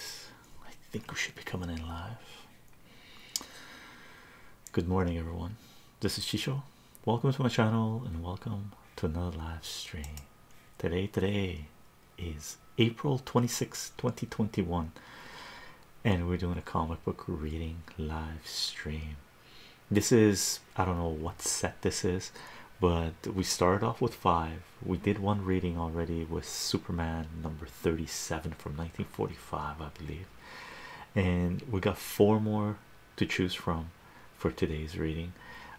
I think we should be coming in live. Good morning, everyone. This is Chicho. Welcome to my channel and welcome to another live stream. Today, today is April 26, 2021, and we're doing a comic book reading live stream. This is I don't know what set this is, but we started off with five we did one reading already with Superman number 37 from 1945, I believe, and we got four more to choose from for today's reading.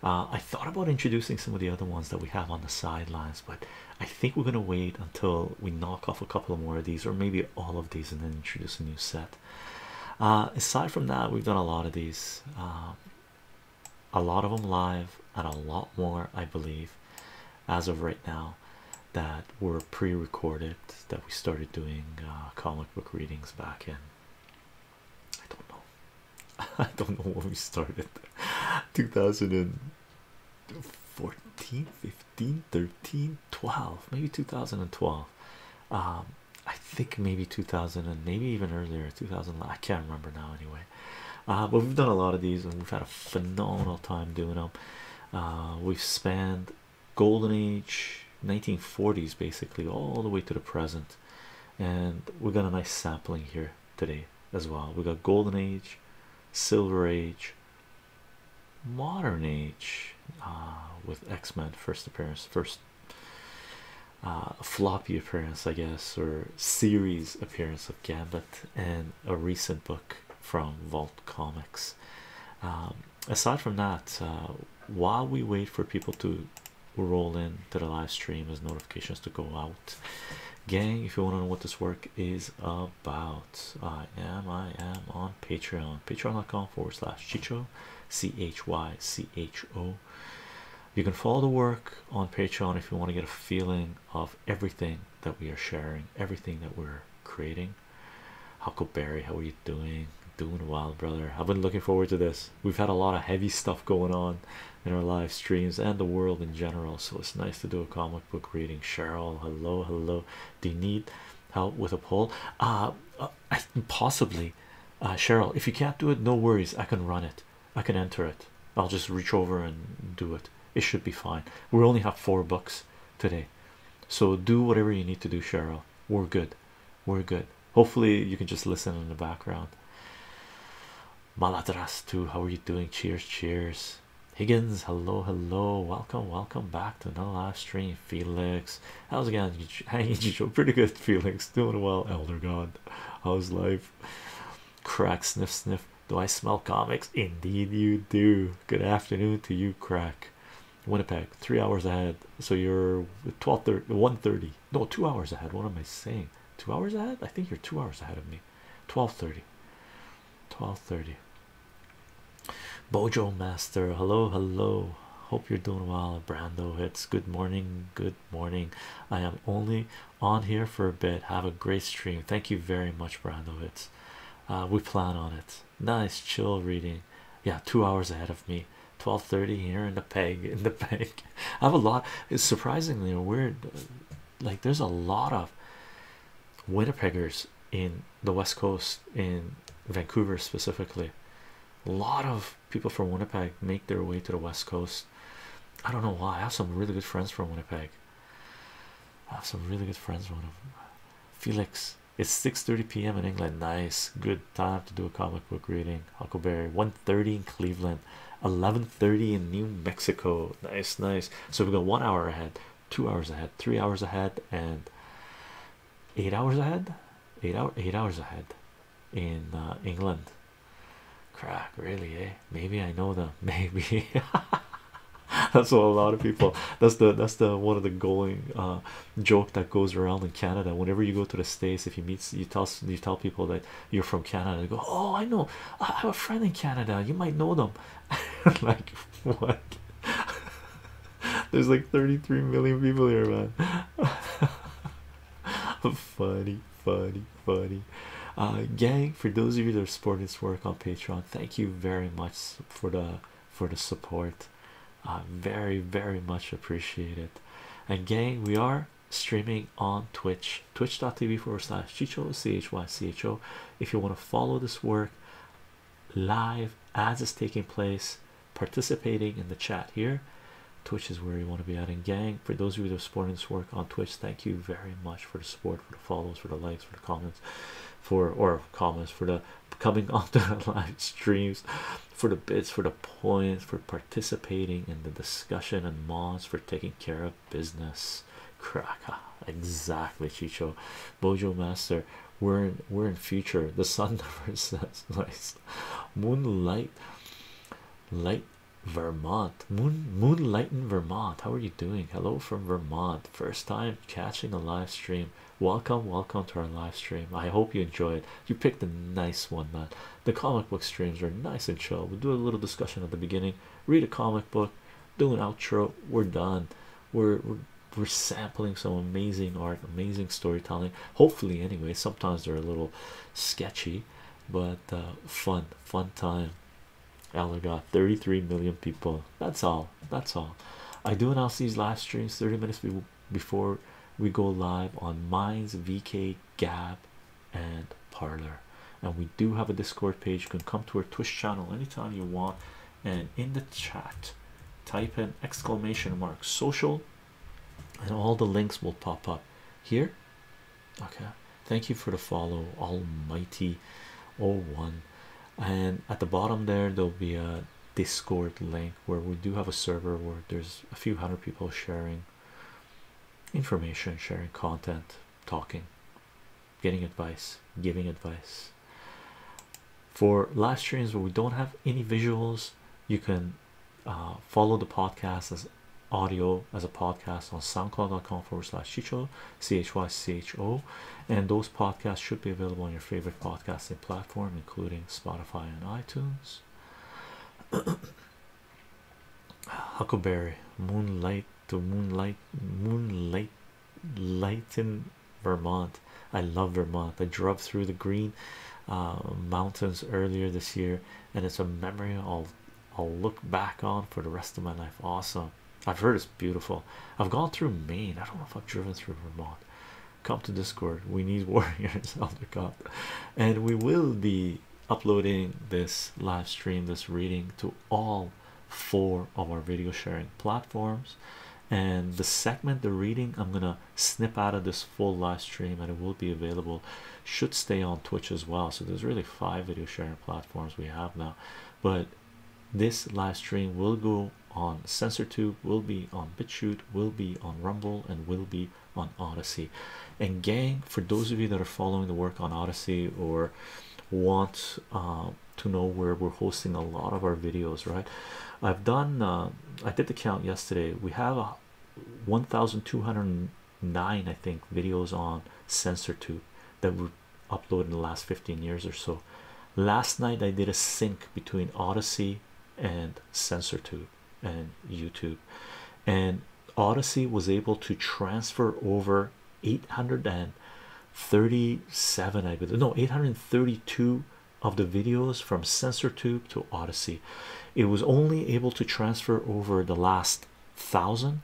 Uh, I thought about introducing some of the other ones that we have on the sidelines, but I think we're gonna wait until we knock off a couple more of these, or maybe all of these, and then introduce a new set. Uh, aside from that, we've done a lot of these, uh, a lot of them live, and a lot more, I believe as of right now that were pre-recorded that we started doing uh, comic book readings back in i don't know i don't know when we started 2014 15 13 12 maybe 2012 um, i think maybe 2000 and maybe even earlier 2000 i can't remember now anyway uh, but we've done a lot of these and we've had a phenomenal time doing them. Uh, we've spanned golden age 1940s basically all the way to the present, and we have got a nice sampling here today as well. We got golden age, silver age, modern age, uh, with X Men first appearance, first floppy appearance, I guess, or series appearance of Gambit and a recent book from Vault Comics. Um, aside from that, uh, while we wait for people to roll in to the live stream as notifications to go out, gang, if you want to know what this work is about, I am I am on Patreon, patreon.com forward slash chicho, c h y c h o. You can follow the work on Patreon if you want to get a feeling of everything that we are sharing, everything that we're creating. Huckleberry, how are you doing? Doing well, brother. I've been looking forward to this. We've had a lot of heavy stuff going on in our live streams and the world in general, so it's nice to do a comic book reading. Cheryl, hello, hello. Do you need help with a poll? Uh, uh possibly. Uh, Cheryl, if you can't do it, no worries. I can run it. I can enter it. I'll just reach over and do it it should be fine we only have four books today so do whatever you need to do cheryl we're good we're good hopefully you can just listen in the background maladras too how are you doing cheers cheers higgins hello hello welcome welcome back to another live stream felix how's it going hanging you pretty good felix doing well elder god how's life crack sniff sniff do I smell comics? Indeed, you do. Good afternoon to you, crack. Winnipeg, three hours ahead. So you're 12 30, 1 30. No, two hours ahead. What am I saying? Two hours ahead? I think you're two hours ahead of me. 12 30. 12 30. Bojo Master, hello, hello. Hope you're doing well. Brando it's good morning, good morning. I am only on here for a bit. Have a great stream. Thank you very much, Brandowitz. Uh, we plan on it. Nice chill reading. Yeah, two hours ahead of me. 12:30 here in the peg. In the peg. I have a lot. It's surprisingly weird. Like there's a lot of Winnipeggers in the West Coast in Vancouver specifically. A lot of people from Winnipeg make their way to the West Coast. I don't know why. I have some really good friends from Winnipeg. I have some really good friends. One of them. Felix. It's 6:30 p.m. in England. Nice, good time to do a comic book reading. Huckleberry. 1:30 in Cleveland. 11:30 in New Mexico. Nice, nice. So we got one hour ahead, two hours ahead, three hours ahead, and eight hours ahead. Eight hour, eight hours ahead in uh, England. Crack, really, eh? maybe I know them, maybe that's what a lot of people that's the that's the one of the going uh, joke that goes around in Canada. Whenever you go to the States, if you meet you tell you tell people that you're from Canada, they go, Oh, I know, I have a friend in Canada, you might know them. like, what? There's like 33 million people here, man. funny, funny, funny buddy. Uh, gang, for those of you that are supporting this work on Patreon, thank you very much for the for the support. Uh, very, very much appreciated. And gang, we are streaming on Twitch, twitch.tv forward slash chicho chycho. If you want to follow this work live as it's taking place, participating in the chat here. Twitch is where you want to be at. And gang, for those of you that are supporting this work on Twitch, thank you very much for the support for the follows for the likes for the comments for or comments for the coming onto the live streams for the bits for the points for participating in the discussion and mods for taking care of business Kraka exactly Chicho Bojo Master we're in we're in future the sun never sets, nice moonlight light Vermont moon moonlight in Vermont how are you doing hello from Vermont first time catching a live stream welcome welcome to our live stream i hope you enjoyed you picked a nice one man the comic book streams are nice and chill we do a little discussion at the beginning read a comic book do an outro we're done we're we're, sampling some amazing art amazing storytelling hopefully anyway sometimes they're a little sketchy but uh, fun fun time Ella 33 million people. That's all. That's all. I do an these live streams 30 minutes before we go live on Minds, VK, Gab, and Parlor. And we do have a Discord page. You can come to our Twitch channel anytime you want. And in the chat, type in exclamation mark social, and all the links will pop up here. Okay, thank you for the follow, Almighty Oh One and at the bottom there there'll be a discord link where we do have a server where there's a few hundred people sharing information sharing content talking getting advice giving advice for live streams where we don't have any visuals you can uh, follow the podcast as audio as a podcast on soundcloud.com forward slash chicho CHYCHO, and those podcasts should be available on your favorite podcasting platform, including Spotify and iTunes. Huckleberry, Moonlight to Moonlight, Moonlight, Light in Vermont. I love Vermont. I drove through the green uh, mountains earlier this year, and it's a memory I'll I'll look back on for the rest of my life. Awesome. I've heard it's beautiful. I've gone through Maine. I don't know if I've driven through Vermont. Come to Discord. We need warriors on the cop, and we will be uploading this live stream, this reading to all four of our video sharing platforms. And the segment, the reading, I'm gonna snip out of this full live stream, and it will be available. Should stay on Twitch as well. So there's really five video sharing platforms we have now, but this live stream will go on SensorTube, will be on BitChute, will be on Rumble, and will be on Odyssey. And gang, for those of you that are following the work on Odyssey or want uh, to know where we're hosting a lot of our videos, right? I've done. Uh, I did the count yesterday. We have a 1,209, I think, videos on SensorTube that were uploaded in the last 15 years or so. Last night I did a sync between Odyssey and SensorTube and YouTube, and Odyssey was able to transfer over 837, I believe, no, 832 of the videos from SensorTube to Odyssey. It was only able to transfer over the last thousand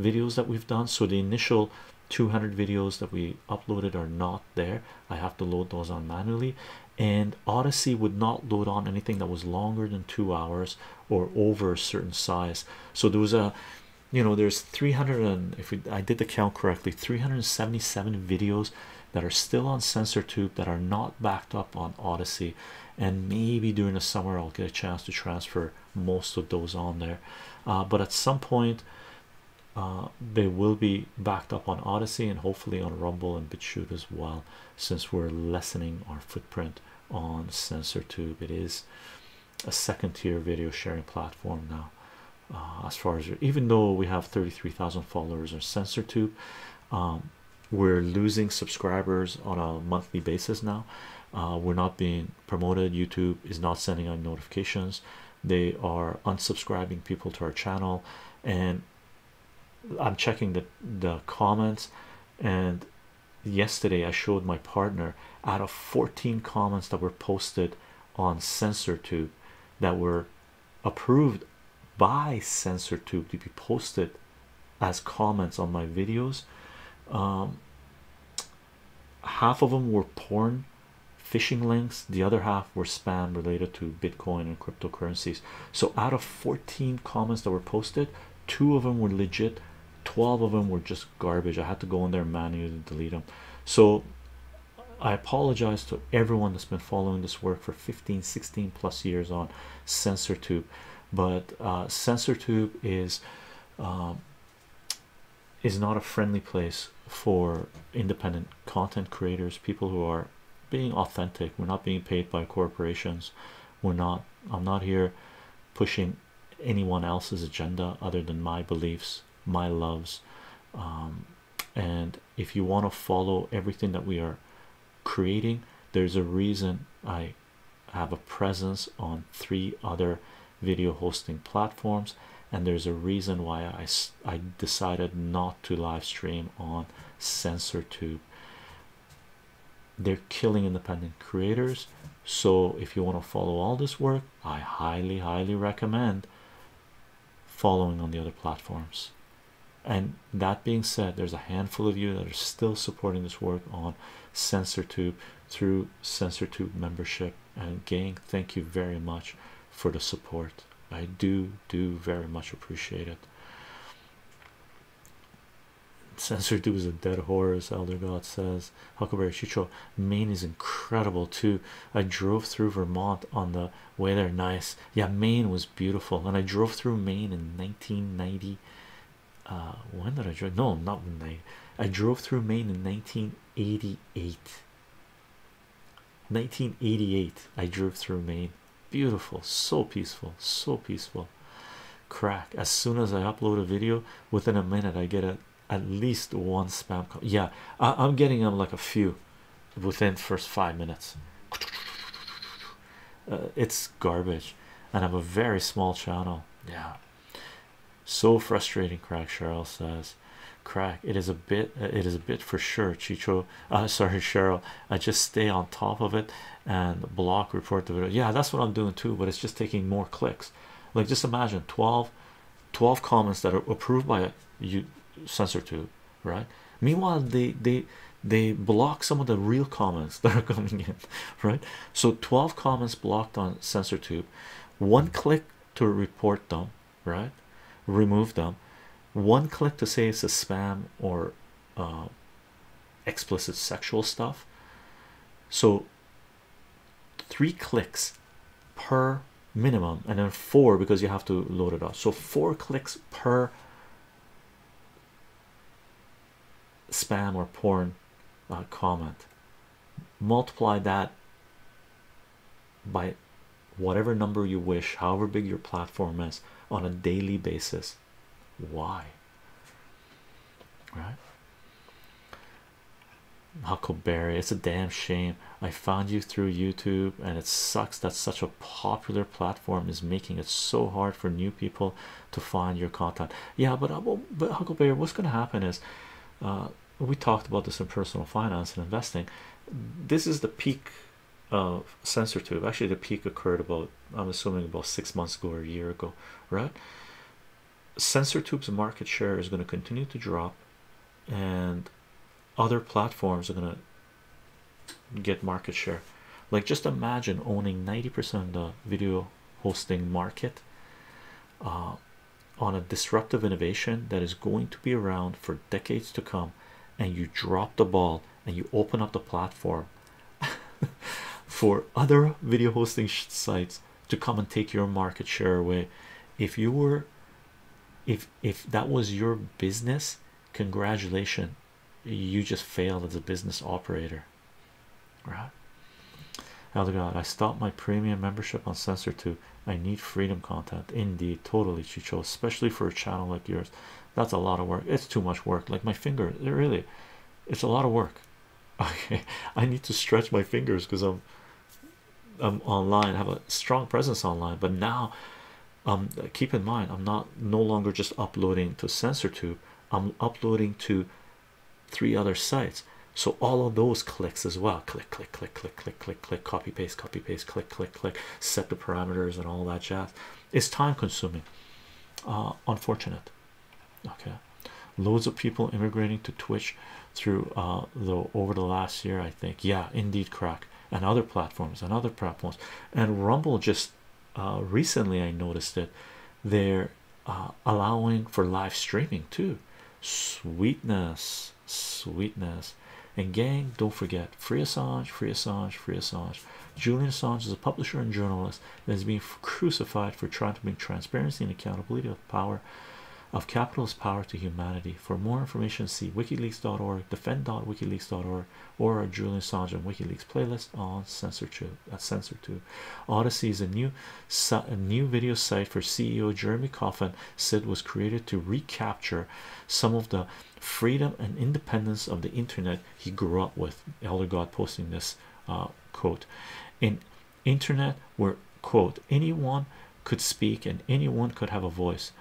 videos that we've done so the initial 200 videos that we uploaded are not there i have to load those on manually and odyssey would not load on anything that was longer than two hours or over a certain size so there was a you know there's 300 and if i did the count correctly 377 videos that are still on SensorTube that are not backed up on odyssey and maybe during the summer i'll get a chance to transfer most of those on there uh, but at some point uh, they will be backed up on Odyssey and hopefully on Rumble and BitChute as well, since we're lessening our footprint on CensorTube. It is a second tier video sharing platform now. Uh, as far as even though we have 33,000 followers on CensorTube, um, we're losing subscribers on a monthly basis now. Uh, we're not being promoted youtube is not sending out notifications they are unsubscribing people to our channel and i'm checking the the comments and yesterday i showed my partner out of 14 comments that were posted on censortube that were approved by censortube to be posted as comments on my videos um, half of them were porn phishing links the other half were spam related to bitcoin and cryptocurrencies so out of 14 comments that were posted two of them were legit 12 of them were just garbage i had to go in there manually delete them so i apologize to everyone that's been following this work for 15 16 plus years on SensorTube, but uh SensorTube is uh, is not a friendly place for independent content creators, people who are being authentic. We're not being paid by corporations. We're not, I'm not here pushing anyone else's agenda other than my beliefs, my loves. Um, and if you want to follow everything that we are creating, there's a reason I have a presence on three other video hosting platforms and there's a reason why I, I decided not to live stream on CensorTube. They're killing independent creators. So if you want to follow all this work, I highly, highly recommend following on the other platforms. And that being said, there's a handful of you that are still supporting this work on CensorTube through SensorTube membership and gang thank you very much for the support I do do very much appreciate it SensorTube is a dead horse Elder God says Huckleberry Chicho Maine is incredible too I drove through Vermont on the way there nice yeah Maine was beautiful and I drove through Maine in 1990 uh, when did I drive no not night I drove through Maine in 1988 1988 i drove through maine beautiful so peaceful so peaceful crack as soon as i upload a video within a minute i get a, at least one spam call yeah I, am getting on um, like a few within first five minutes uh, it's garbage and i'm a very small channel yeah so frustrating, Crack Cheryl says. Crack, it is a bit, uh, it is a bit for sure. Chicho, uh, sorry, Cheryl. I just stay on top of it and block report the video. Yeah, that's what I'm doing too, but it's just taking more clicks. Like, just imagine 12, comments that are approved by you censor tube, right? Meanwhile, they they they block some of the real comments that are coming in, right? So 12 comments blocked on censor tube, one click to report them right remove them one click to say it's a spam or uh, explicit sexual stuff so three clicks per minimum and then four because you have to load it up so four clicks per spam or porn uh, comment multiply that by whatever number you wish, however big your platform is on a daily basis. Why? Right? Huckleberry, it's a damn shame. I found you through YouTube, and it sucks that such a popular platform is making it so hard for new people to find your content. Yeah, but, uh, but Huckleberry, what's going to happen is uh, we talked about this in personal finance and investing. This is the peak of sensor tube. Actually, the peak occurred about I'm assuming about six months ago or a year ago, right? Sensor tube's market share is going to continue to drop, and other platforms are going to get market share. Like, just imagine owning 90% of the video hosting market. Uh, on a disruptive innovation that is going to be around for decades to come and you drop the ball and you open up the platform for other video hosting sites to come and take your market share away if you were if if that was your business congratulations you just failed as a business operator right oh god i stopped my premium membership on sensor 2 I need freedom content. Indeed, totally, Chicho, especially for a channel like yours. That's a lot of work. It's too much work. Like my fingers, it really, it's a lot of work. Okay, I need to stretch my fingers because I'm, I'm online. have a strong presence online, but now, um, keep in mind, I'm not no longer just uploading to SensorTube. I'm uploading to three other sites so all of those clicks as well click click click click click click click copy paste copy paste click click click set the parameters and all that jazz it's time consuming uh unfortunate okay loads of people immigrating to twitch through uh though over the last year i think yeah indeed crack and other platforms and other platforms and rumble just uh, recently i noticed it they're uh, allowing for live streaming too sweetness sweetness, And gang, don't forget Free Assange, Free Assange, Free Assange. Julian Assange is a publisher and journalist that has been crucified for trying to bring transparency and accountability of power of capitalist power to humanity. For more information, see wikileaks.org, defend.wikileaks.org, or our Julian Assange and WikiLeaks playlist on CensorTube. Uh, At CensorTube, Odyssey is a new a new video site for CEO Jeremy Coffin Sid, was created to recapture some of the freedom and independence of the internet he grew up with. Elder God posting this uh, quote in internet where quote anyone could speak and anyone could have a voice.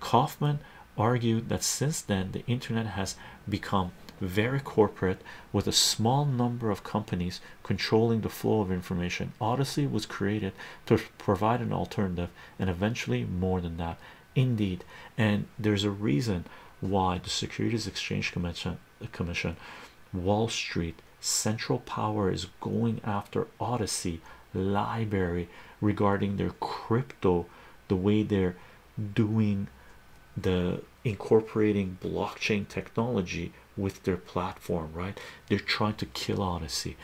Kaufman argued that since then the internet has become very corporate with a small number of companies controlling the flow of information. Odyssey was created to provide an alternative and eventually more than that indeed and there's a reason why the securities exchange commission wall street central power is going after odyssey library regarding their crypto the way they're doing the incorporating blockchain technology with their platform right they're trying to kill odyssey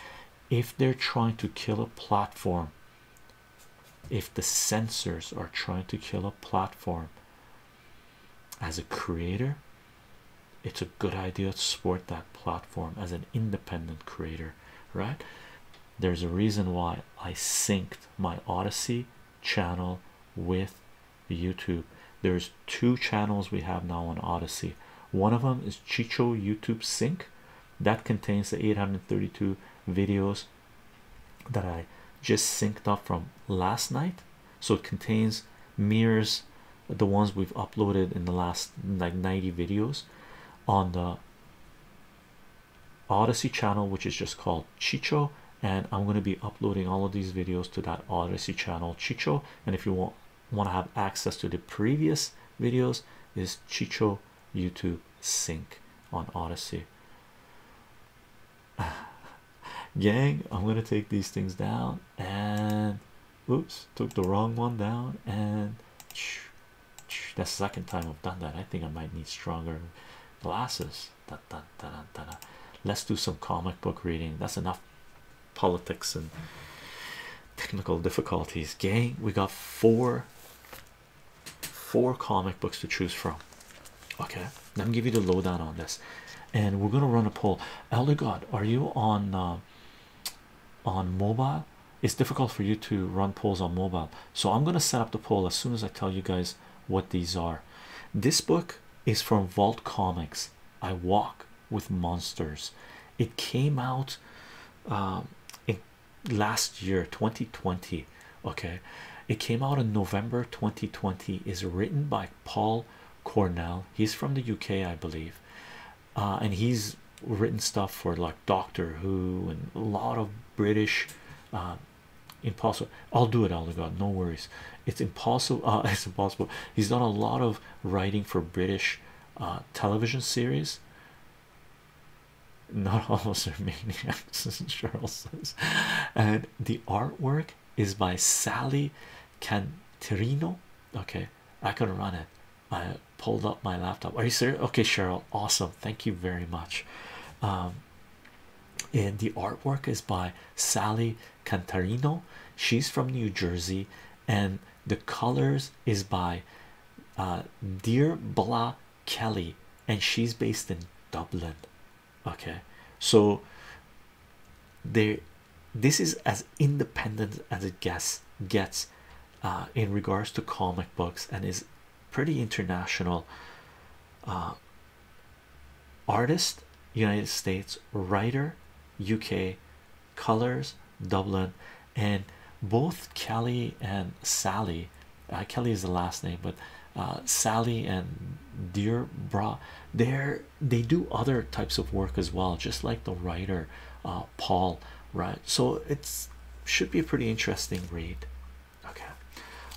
if they're trying to kill a platform, if the censors are trying to kill a platform as a creator, it's a good idea to support that platform as an independent creator, right? There's a reason why I synced my Odyssey channel with YouTube. There's two channels we have now on Odyssey one of them is Chicho YouTube Sync that contains the 832 videos that I just synced up from last night. So it contains mirrors the ones we've uploaded in the last like 90 videos on the Odyssey channel, which is just called Chicho. And I'm going to be uploading all of these videos to that Odyssey channel, Chicho. And if you want want to have access to the previous videos is Chicho YouTube Sync on Odyssey. Gang, I'm gonna take these things down and oops, took the wrong one down. And that's the second time I've done that. I think I might need stronger glasses. Da, da, da, da, da. Let's do some comic book reading. That's enough politics and technical difficulties gang we got four four comic books to choose from okay let me give you the lowdown on this and we're gonna run a poll elder god are you on uh, on mobile it's difficult for you to run polls on mobile so i'm gonna set up the poll as soon as i tell you guys what these are this book is from vault comics i walk with monsters. It came out um, in last year, 2020. Okay, it came out in November 2020. Is written by Paul Cornell. He's from the UK, I believe, uh, and he's written stuff for like Doctor Who and a lot of British. Um, impossible i'll do it all god no worries it's impossible uh, it's impossible he's done a lot of writing for british uh, television series. Not all of them. are maniacs, as Charles says. And the artwork is by Sally Cantarino. Okay, I could run it. I pulled up my laptop. Are you serious? Okay, Cheryl. Awesome. Thank you very much. Um, and the artwork is by Sally Cantarino. She's from New Jersey, and the colors is by uh, Dear Bla Kelly, and she's based in Dublin. Okay, so there, this is as independent as it gets gets uh, in regards to comic books and is pretty international. Uh, artist, United States, writer, UK, colors Dublin and both Kelly and Sally uh, Kelly is the last name but uh, Sally and dear bra there they do other types of work as well just like the writer uh, Paul right so it's should be a pretty interesting read okay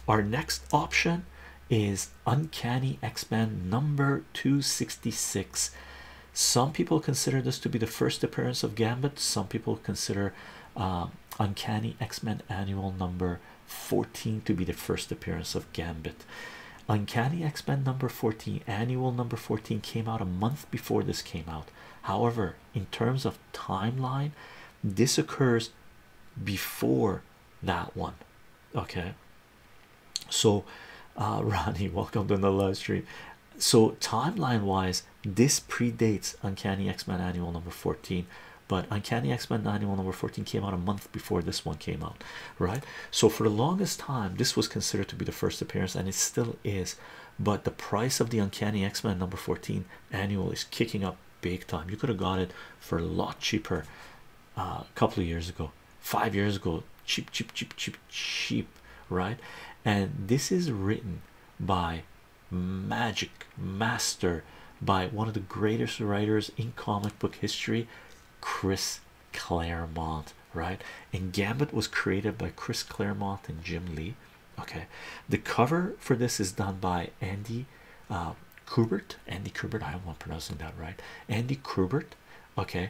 our next option is uncanny x-men number 266 some people consider this to be the first appearance of Gambit. Some people consider um, Uncanny X-Men Annual Number 14 to be the first appearance of Gambit. Uncanny X-Men Number 14, Annual Number 14, came out a month before this came out. However, in terms of timeline, this occurs before that one. Okay. So, uh, Ronnie, welcome to the live stream so timeline wise this predates uncanny x-men annual number 14 but uncanny x-men annual number 14 came out a month before this one came out right so for the longest time this was considered to be the first appearance and it still is but the price of the uncanny x-men number 14 annual is kicking up big time you could have got it for a lot cheaper uh, a couple of years ago five years ago cheap cheap cheap cheap cheap right and this is written by magic master by one of the greatest writers in comic book history chris claremont right and gambit was created by chris claremont and jim lee okay the cover for this is done by andy uh, kubert andy kubert i am not pronouncing that right andy kubert okay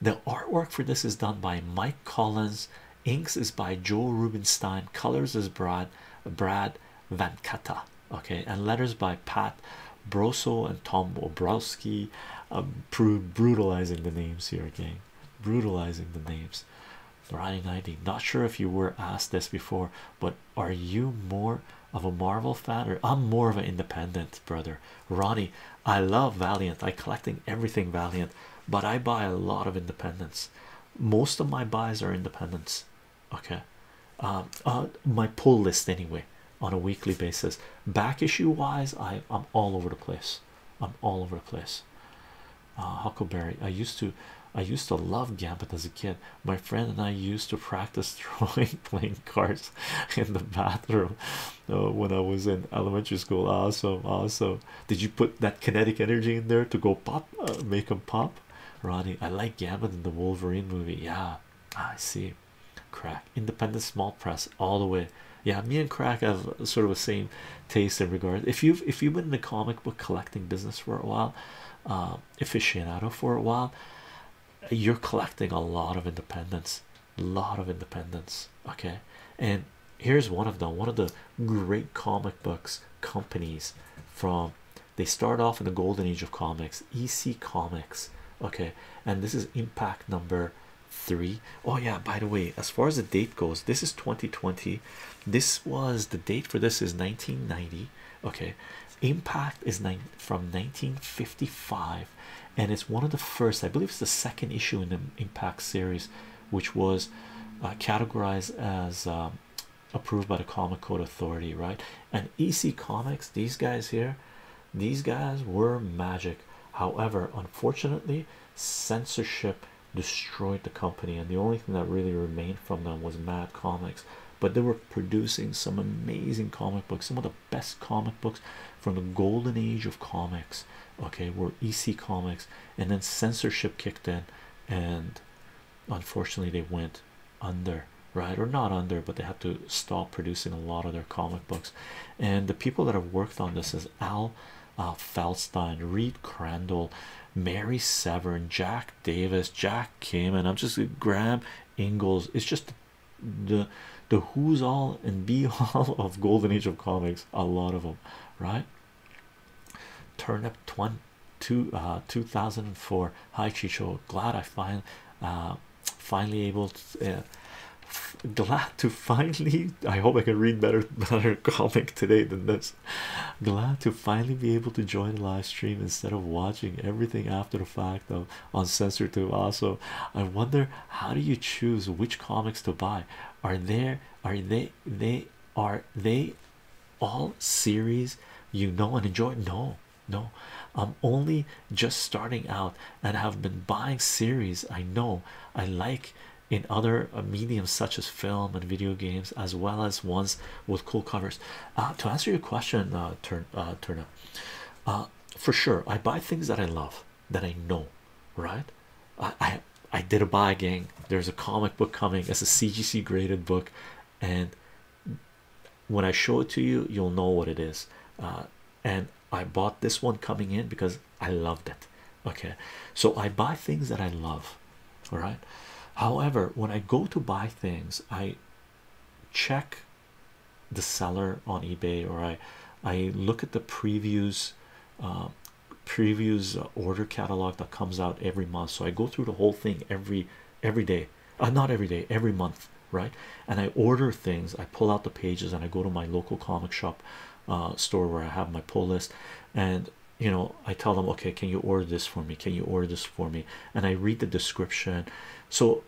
the artwork for this is done by Mike Collins, inks is by Joel Rubinstein, colors is Brad Brad Vankata, okay, and letters by Pat Broso and Tom Obrowski. Um, brutalizing the names here again, brutalizing the names. Ronnie, not sure if you were asked this before, but are you more of a Marvel fan or I'm more of an independent brother? Ronnie, I love Valiant. I collecting everything Valiant but I buy a lot of independents. Most of my buys are independents. Okay, um, uh, my pull list anyway on a weekly basis. Back issue wise, I I'm all over the place. I'm all over the place. Uh, Huckleberry, I used to, I used to love Gambit as a kid. My friend and I used to practice throwing playing cards in the bathroom uh, when I was in elementary school. Awesome, awesome. Did you put that kinetic energy in there to go pop, uh, make them pop? Ronnie, I like Gambit in the Wolverine movie. Yeah, I see. Crack, independent small press all the way. Yeah, me and Crack have sort of the same taste in regards. If you've if you've been in the comic book collecting business for a while, uh, aficionado for a while, you're collecting a lot of independence, a lot of independence. Okay, and here's one of them one of the great comic books companies from they start off in the golden age of comics ec comics okay and this is impact number three. Oh yeah by the way as far as the date goes this is 2020 this was the date for this is 1990 okay impact is nine from 1955 and it's one of the first i believe it's the second issue in the impact series which was uh, categorized as um, approved by the comic code authority right and ec comics these guys here these guys were magic however unfortunately censorship destroyed the company and the only thing that really remained from them was mad comics but they were producing some amazing comic books some of the best comic books from the golden age of comics okay were ec comics and then censorship kicked in and unfortunately they went under right or not under but they had to stop producing a lot of their comic books and the people that have worked on this is al uh, Feldstein, Reed Crandall, Mary Severn, Jack Davis, Jack Kim, and I'm just Graham Ingalls. It's just the the who's all and be all of Golden Age of comics. A lot of them, right? Turn up two, uh, 2004. Hi, Chicho. Glad I find uh, finally able uh, glad to finally i hope i can read better better comic today than this glad to finally be able to join the live stream instead of watching everything after the fact of on censor 2 also i wonder how do you choose which comics to buy are there are they they are they all series you know and enjoy no no i'm only just starting out and have been buying series i know i like in other uh, mediums such as film and video games as well as ones with cool covers uh, to answer your question uh, turn uh up for sure i buy things that i love that I know, right? I, I did a buy again. There's a comic book coming It's a CGC graded book, and when I show it to you, you'll know what it is. Uh, and I bought this one coming in because I loved it. Okay, so I buy things that I love. All right. However, when I go to buy things, I check the seller on eBay or I I look at the previews uh, previews order catalog that comes out every month so i go through the whole thing every every day uh, not every day every month right and i order things i pull out the pages and i go to my local comic shop uh, store where i have my pull list and you know i tell them okay can you order this for me can you order this for me and i read the description so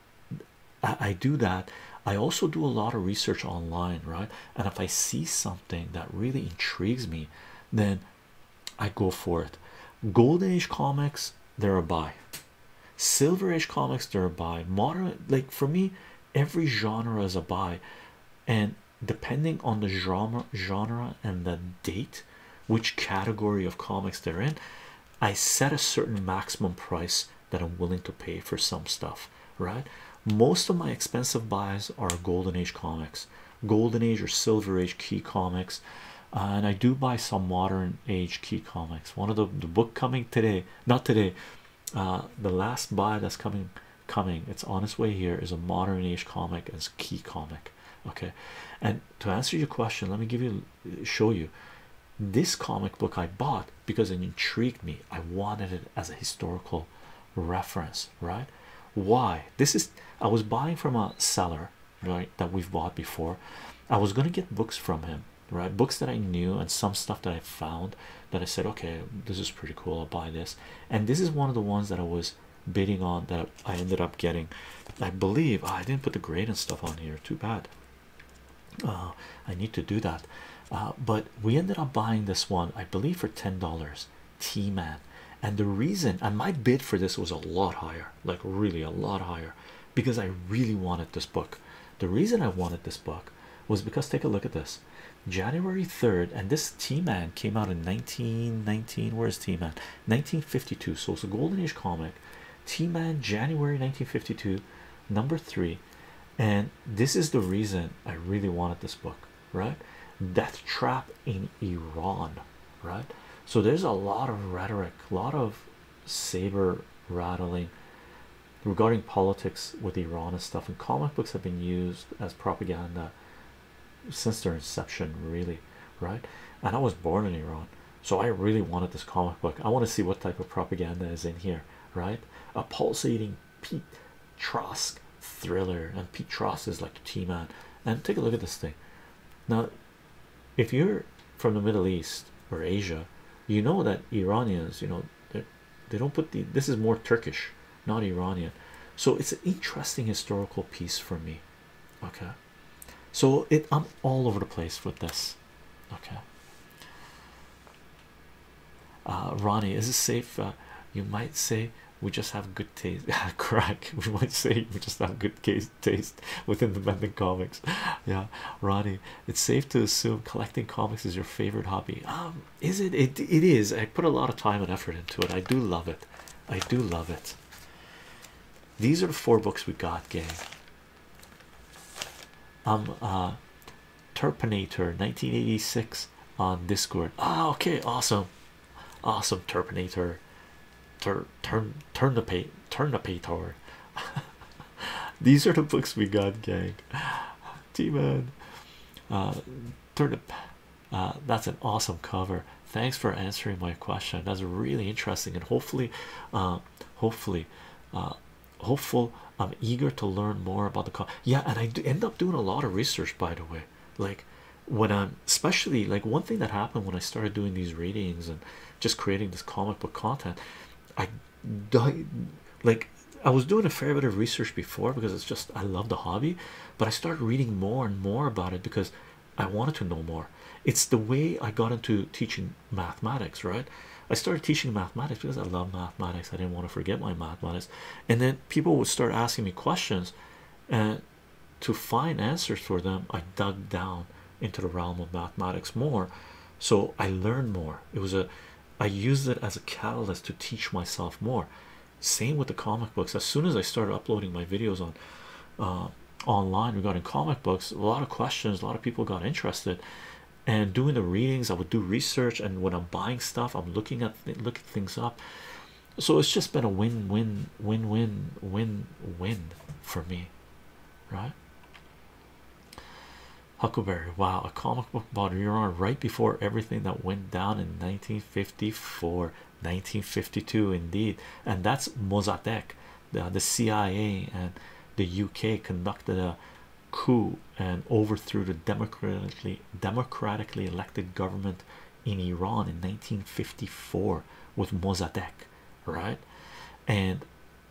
I do that i also do a lot of research online right and if I see something that really intrigues me, then I go for it. Golden Age comics, they're a buy. Silver Age comics, they're a buy. Modern, like for me, every genre is a buy, and depending on the genre, genre and the date, which category of comics they're in, I set a certain maximum price that I'm willing to pay for some stuff right? Most of my expensive buys are Golden Age comics, Golden Age or Silver Age key comics, uh, and I do buy some modern age key comics. One of the, the book coming today, not today, uh, the last buy that's coming, coming, it's on its way here is a modern age comic as key comic, okay? And to answer your question, let me give you show you this comic book I bought because it intrigued me. I wanted it as a historical reference right why this is i was buying from a seller right that we've bought before i was going to get books from him right books that i knew and some stuff that i found that i said okay this is pretty cool i'll buy this and this is one of the ones that i was bidding on that i ended up getting i believe ah, i didn't put the grade and stuff on here too bad uh, i need to do that uh, but we ended up buying this one i believe for ten dollars T Man. And the reason, and my bid for this was a lot higher, like really a lot higher, because I really wanted this book. The reason I wanted this book was because take a look at this January 3rd, and this T Man came out in 1919. Where's T Man? 1952. So it's a golden age comic. T Man, January 1952, number three. And this is the reason I really wanted this book right? Death trap in Iran, right? So there's a lot of rhetoric, a lot of saber rattling regarding politics with Iran and stuff. And comic books have been used as propaganda since their inception, really, right? And I was born in Iran, so I really wanted this comic book. I want to see what type of propaganda is in here, right? A pulsating Pete Trosk thriller, and Pete Trosk is like the T man. And take a look at this thing now. If you're from the Middle East or Asia, you know that Iranians, you know, they don't put the this is more Turkish, not Iranian. So it's an interesting historical piece for me. Okay, so it I'm all over the place with this. Okay. Uh, Ronnie, is it safe? Uh, you might say we just have good taste crack we might say we just have good taste taste within the mending comics yeah ronnie it's safe to assume collecting comics is your favorite hobby um is it? it it is i put a lot of time and effort into it i do love it i do love it these are four books we got gang um, uh terpinator 1986 this on Discord. Ah, okay, awesome, awesome. Terminator, Tur turn turn the pay turn the pay tower. These are the books we got, gang. T-Man, uh, turnip. Uh, that's an awesome cover. Thanks for answering my question. That's really interesting, and hopefully, uh, hopefully, uh, hopeful. I'm eager to learn more about the. Co yeah, and I end up doing a lot of research, by the way. Like, when I'm especially like one thing that happened when I started doing these readings and just creating this comic book content. I died like I was doing a fair bit of research before because it's just I love the hobby, but I started reading more and more about it because I wanted to know more. It's the way I got into teaching mathematics, right? I started teaching mathematics because I love mathematics, I didn't want to forget my mathematics, and then people would start asking me questions and to find answers for them i dug down into the realm of mathematics more so i learned more it was a i used it as a catalyst to teach myself more same with the comic books as soon as i started uploading my videos on uh, online regarding comic books a lot of questions a lot of people got interested and doing the readings i would do research and when i'm buying stuff i'm looking at looking things up so it's just been a win win win win win win for me right huckleberry wow a comic book bottle you're on right before everything that went down in 1954 1952 indeed and that's mossadegh the cia and the uk conducted a coup and overthrew the democratically democratically elected government in Iran in 1954 with Mossadegh, right? And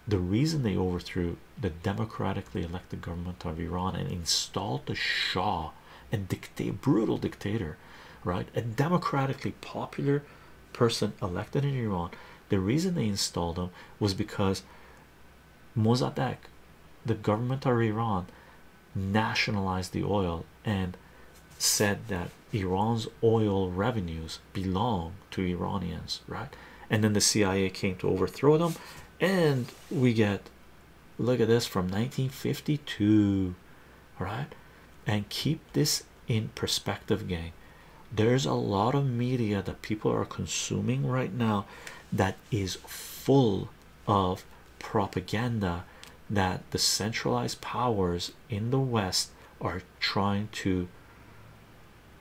the reason they overthrew the democratically elected government of Iran and installed the Shah, a brutal dictator, right? A democratically popular person elected in Iran. The reason they installed him was because Mossadegh, the government of Iran, nationalized the oil and said that Iran's oil revenues belong to Iranians, right? And then the CIA came to overthrow them, and we get look at this from 1952, right? And keep this in perspective, gang. There's a lot of media that people are consuming right now that is full of propaganda that the centralized powers in the West are trying to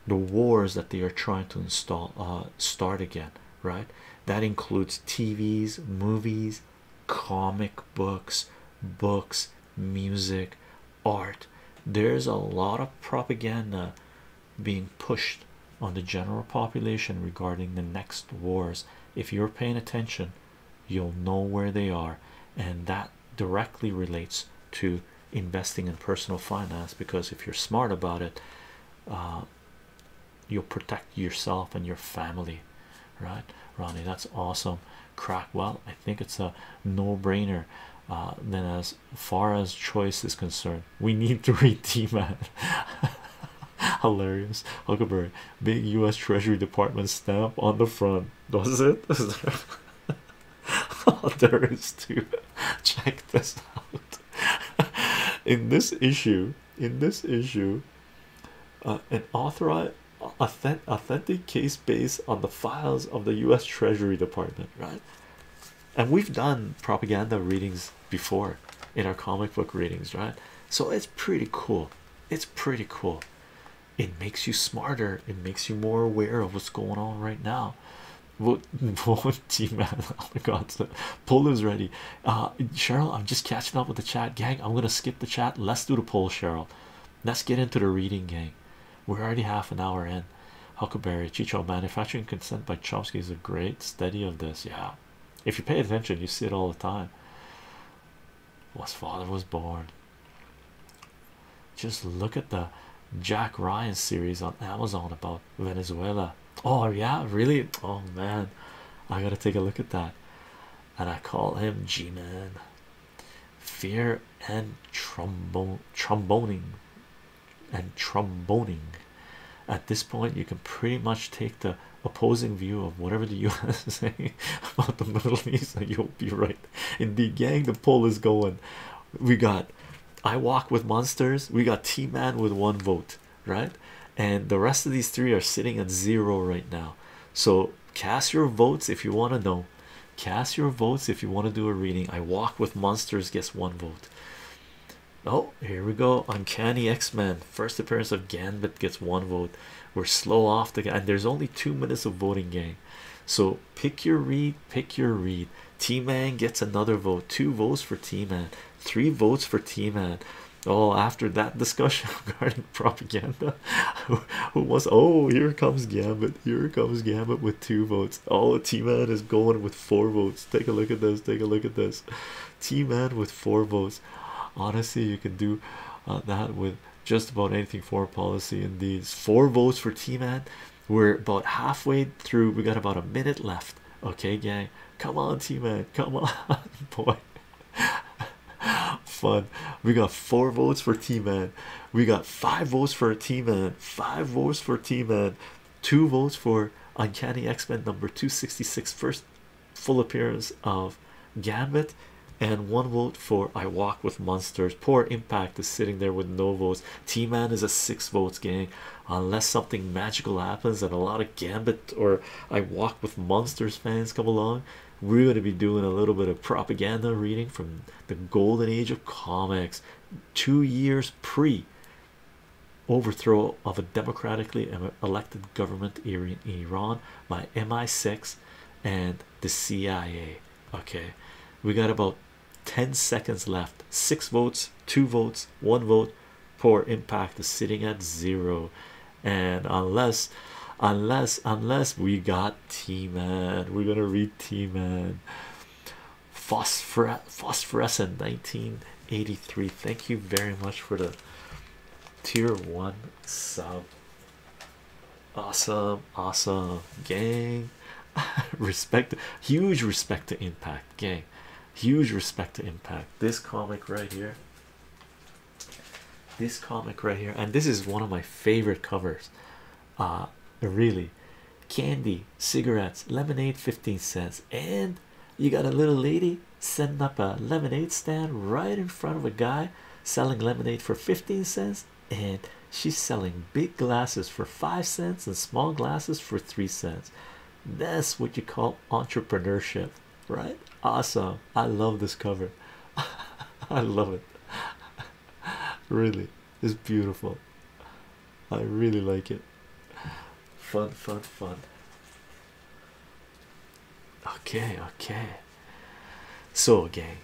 the wars that they are trying to install uh start again right that includes tvs movies comic books books music art there's a lot of propaganda being pushed on the general population regarding the next wars if you're paying attention you'll know where they are, and that directly relates to investing in personal finance because if you're smart about it, uh, you'll protect yourself and your family, right? Ronnie, that's awesome. Crack, well, I think it's a no brainer. Uh, then, as far as choice is concerned, we need to read DMAT. Hilarious. Huckleberry. Big US Treasury Department stamp on the front. Does it? Is there... Oh, there is too. Check this out. in this issue, in this issue, uh, an authorized authentic, authentic case based on the files of the US Treasury Department, right? And we've done propaganda readings before in our comic book readings, right? So it's pretty cool. It's pretty cool. It makes you smarter. It makes you more aware of what's going on right now. What, what team Oh my God, poll is ready. Uh, Cheryl, I'm just catching up with the chat, gang. I'm gonna skip the chat. Let's do the poll, Cheryl. Let's get into the reading, gang. We're already half an hour in. Huckleberry Chicho manufacturing consent by Chomsky is a great study of this. Yeah, if you pay attention, you see it all the time was father was born. Just look at the Jack Ryan series on Amazon about Venezuela. Oh, yeah, really? Oh man, I gotta take a look at that. And I call him G Man Fear and trombone, tromboning and tromboning. At this point, you can pretty much take the opposing view of whatever the U.S. is saying about the Middle East, and you'll be right. the gang, the poll is going. We got I Walk with Monsters, we got T Man with one vote, right? And the rest of these three are sitting at zero right now. So, cast your votes if you want to know. Cast your votes if you want to do a reading. I Walk with Monsters gets one vote. Oh, here we go. Uncanny X Men. First appearance of Gambit gets one vote. We're slow off the and there's only two minutes of voting game. So pick your read, pick your read. T Man gets another vote, two votes for T Man, three votes for T Man. Oh, after that discussion regarding propaganda, who was oh, here comes Gambit, here comes Gambit with two votes. Oh, T Man is going with four votes. Take a look at this, take a look at this. T Man with four votes. Honestly, you can do uh, that with just about anything for policy in these four votes for Team man We're about halfway through. We got about a minute left. Okay, gang. Come on, Team man Come on, boy. Fun. We got four votes for Team man We got five votes for Team man Five votes for Team man Two votes for Uncanny X-Men number 266 first full appearance of Gambit and one vote for I Walk with Monsters. Poor Impact is sitting there with no votes. T Man is a six votes gang. unless something magical happens and a lot of Gambit or I Walk with Monsters fans come along. We're going to be doing a little bit of propaganda reading from the golden age of comics, two years pre overthrow of a democratically elected government in Iran my MI6 and the CIA. Okay, we got about 10 seconds left. Six votes, two votes, one vote. Poor impact is sitting at zero. And unless, unless, unless we got Team Man, we're gonna read T Man Phosphor Phosphorescent 1983. Thank you very much for the tier one sub. Awesome, awesome, gang. respect, huge respect to Impact, gang. Huge respect to Impact. This comic right here. This comic right here, and this is one of my favorite covers. Uh, really, candy, cigarettes, lemonade, 15 cents, and you got a little lady setting up a lemonade stand right in front of a guy selling lemonade for 15 cents and she's selling big glasses for 5 cents and small glasses for 3 cents that's what you call entrepreneurship right awesome i love this cover i love it really it's beautiful i really like it fun fun fun Okay, okay. So, gang,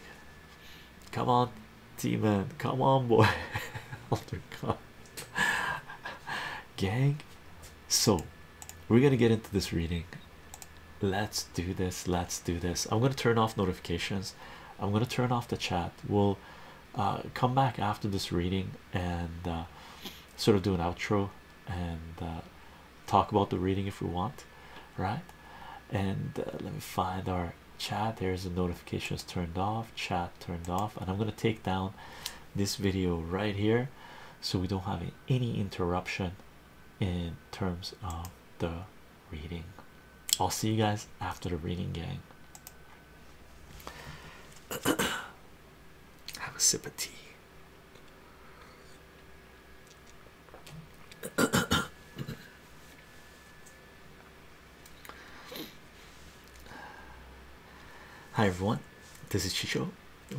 come on, team man, come on, boy. oh my god, gang. So, we're gonna get into this reading. Let's do this. Let's do this. I'm gonna turn off notifications. I'm gonna turn off the chat. We'll uh, come back after this reading and uh, sort of do an outro and uh, talk about the reading if we want, right? And uh, let me find our chat. There's the notifications turned off, chat turned off, and I'm gonna take down this video right here so we don't have any interruption in terms of the reading. I'll see you guys after the reading, gang. Have a sip of tea. Hi everyone, this is Chicho.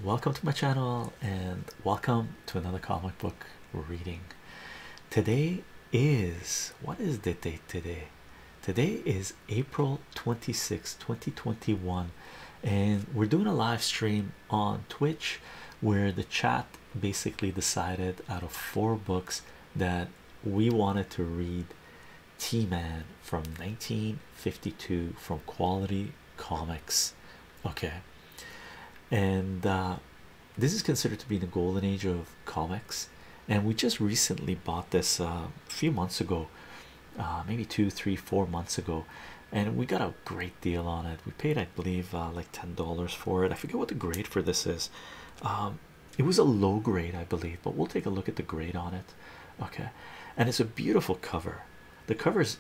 Welcome to my channel and welcome to another comic book reading. Today is what is the date today? Today is April 26, 2021, and we're doing a live stream on Twitch where the chat basically decided out of four books that we wanted to read T-Man from 1952 from Quality Comics. Okay, and uh, this is considered to be the golden age of comics, and we just recently bought this uh, a few months ago, uh, maybe two, three, four months ago, and we got a great deal on it. We paid, I believe, uh, like ten dollars for it. I forget what the grade for this is. Um, it was a low grade, I believe, but we'll take a look at the grade on it. Okay, and it's a beautiful cover. The cover is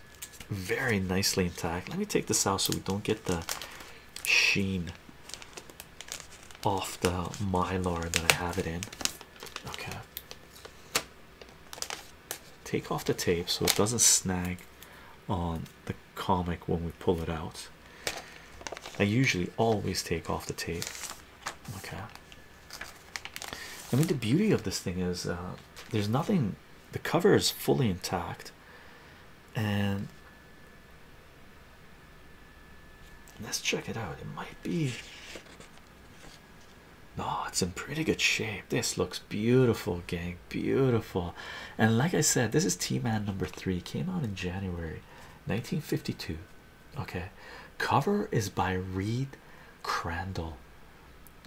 very nicely intact. Let me take this out so we don't get the sheen off the mylar that I have it in. Okay. Take off the tape so it doesn't snag on the comic when we pull it out. I usually always take off the tape. Okay. I mean, the beauty of this thing is uh, there's nothing, the cover is fully intact, and let's check it out. It might be. No, oh, it's in pretty good shape. This looks beautiful, gang beautiful and like i said this is t-man number three came out in january 1952 okay cover is by reed crandall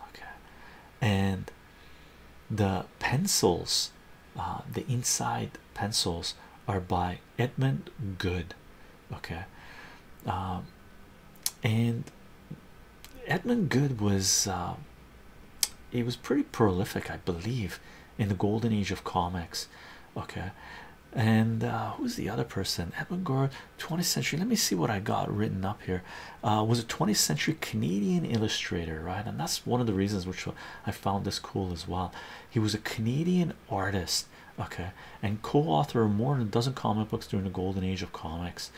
okay and the pencils uh, the inside pencils are by edmund good okay um, and Edmund Good was uh, he was pretty prolific, I believe, in the golden age of comics. Okay, and uh, who's the other person? Edmund Good, 20th century. Let me see what I got written up here. Uh, was a 20th century Canadian illustrator, right? And that's one of the reasons which I found this cool as well. He was a Canadian artist, okay, and co-author of more than a dozen comic books during the golden age of comics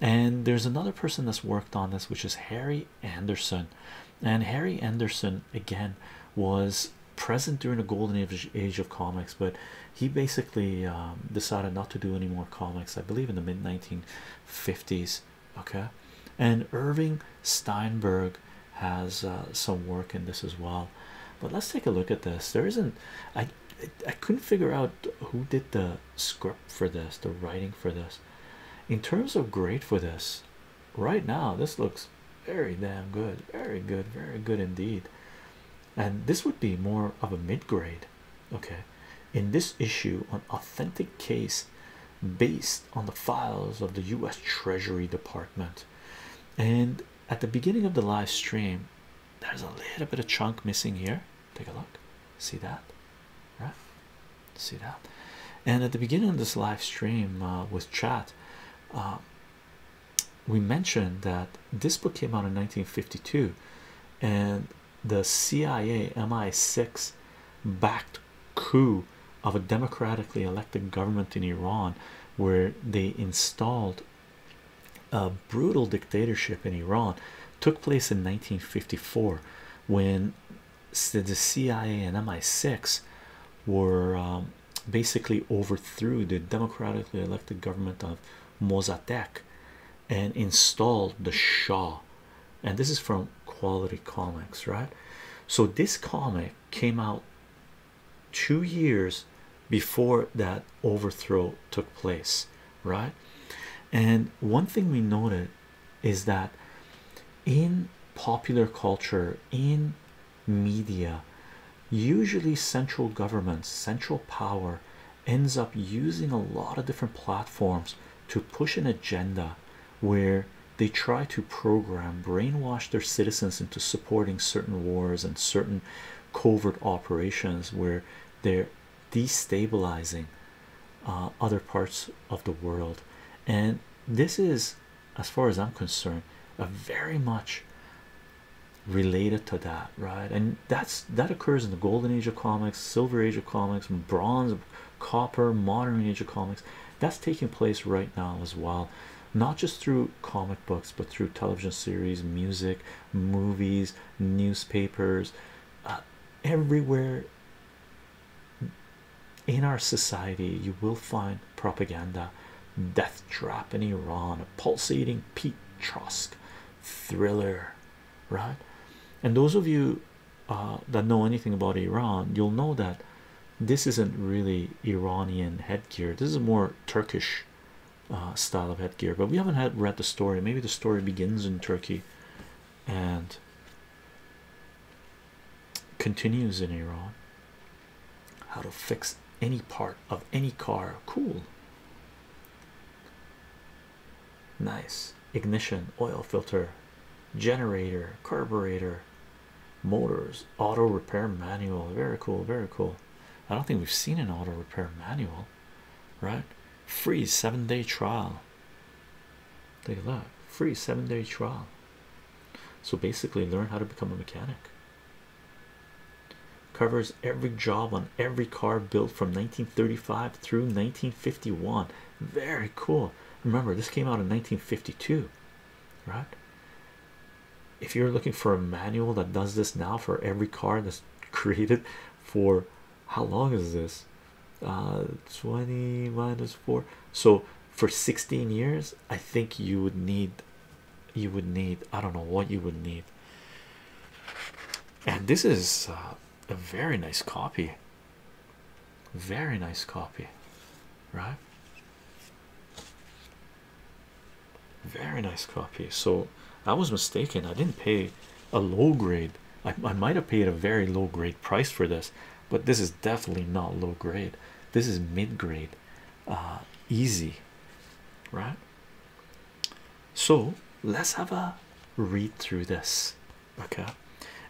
and there's another person that's worked on this which is Harry Anderson and Harry Anderson again was present during the golden age, age of comics but he basically um, decided not to do any more comics I believe in the mid 1950s okay and Irving Steinberg has uh, some work in this as well but let's take a look at this there isn't I I couldn't figure out who did the script for this the writing for this in terms of grade for this right now this looks very damn good very good very good indeed and this would be more of a mid-grade okay in this issue an authentic case based on the files of the u.s treasury department and at the beginning of the live stream there's a little bit of chunk missing here Take a look. See that? Right? See that? And at the beginning of this live stream uh, with chat, um, we mentioned that this book came out in 1952 and the CIA MI6 backed coup of a democratically elected government in Iran where they installed a brutal dictatorship in Iran took place in 1954 when the CIA and MI6 were um, basically overthrew the democratically elected government of Mossadegh and installed the Shah. And this is from Quality Comics, right? So this comic came out two years before that overthrow took place, right? And one thing we noted is that in popular culture, in media, usually central government, central power ends up using a lot of different platforms to push an agenda where they try to program, brainwash their citizens into supporting certain wars and certain covert operations where they're destabilizing uh, other parts of the world and this is as far as i'm concerned a very much related to that right and that's that occurs in the golden age of comics silver age of comics bronze copper modern age of comics that's taking place right now as well not just through comic books but through television series music movies newspapers uh, everywhere in our society you will find propaganda death trap in iran a pulsating pete trosk thriller right and those of you uh, that know anything about iran you'll know that this isn't really iranian headgear this is more turkish uh, style of headgear but we haven't had read the story maybe the story begins in turkey and continues in Iran how to fix any part of any car cool nice ignition oil filter generator carburetor motors auto repair manual very cool very cool I don't think we've seen an auto repair manual right free seven day trial. Take a look, free seven day trial. So basically, learn how to become a mechanic. Covers every job on every car built from 1935 through 1951. Very cool. Remember, this came out in 1952, right? If you're looking for a manual that does this now for every car that's created for how long is this uh, 20 minus 4 so for 16 years i think you would need you would need i don't know what you would need and this is uh, a very nice copy very nice copy right very nice copy so i was mistaken i didn't pay a low grade i, I might have paid a very low grade price for this but this is definitely not low grade. This is mid grade, uh, easy, right? So let's have a read through this, okay?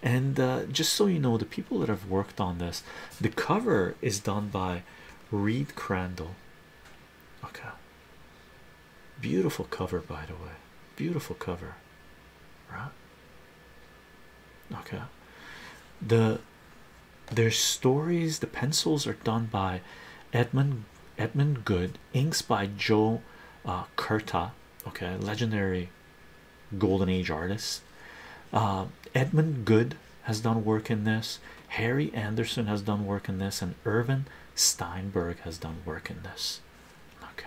And uh, just so you know, the people that have worked on this, the cover is done by Reed Crandall. Okay, beautiful cover, by the way, beautiful cover, right? okay the their stories the pencils are done by edmund edmund good inks by joe uh, okay legendary golden age artists. uh, edmund good has done work in this harry anderson has done work in this and irvin steinberg has done work in this okay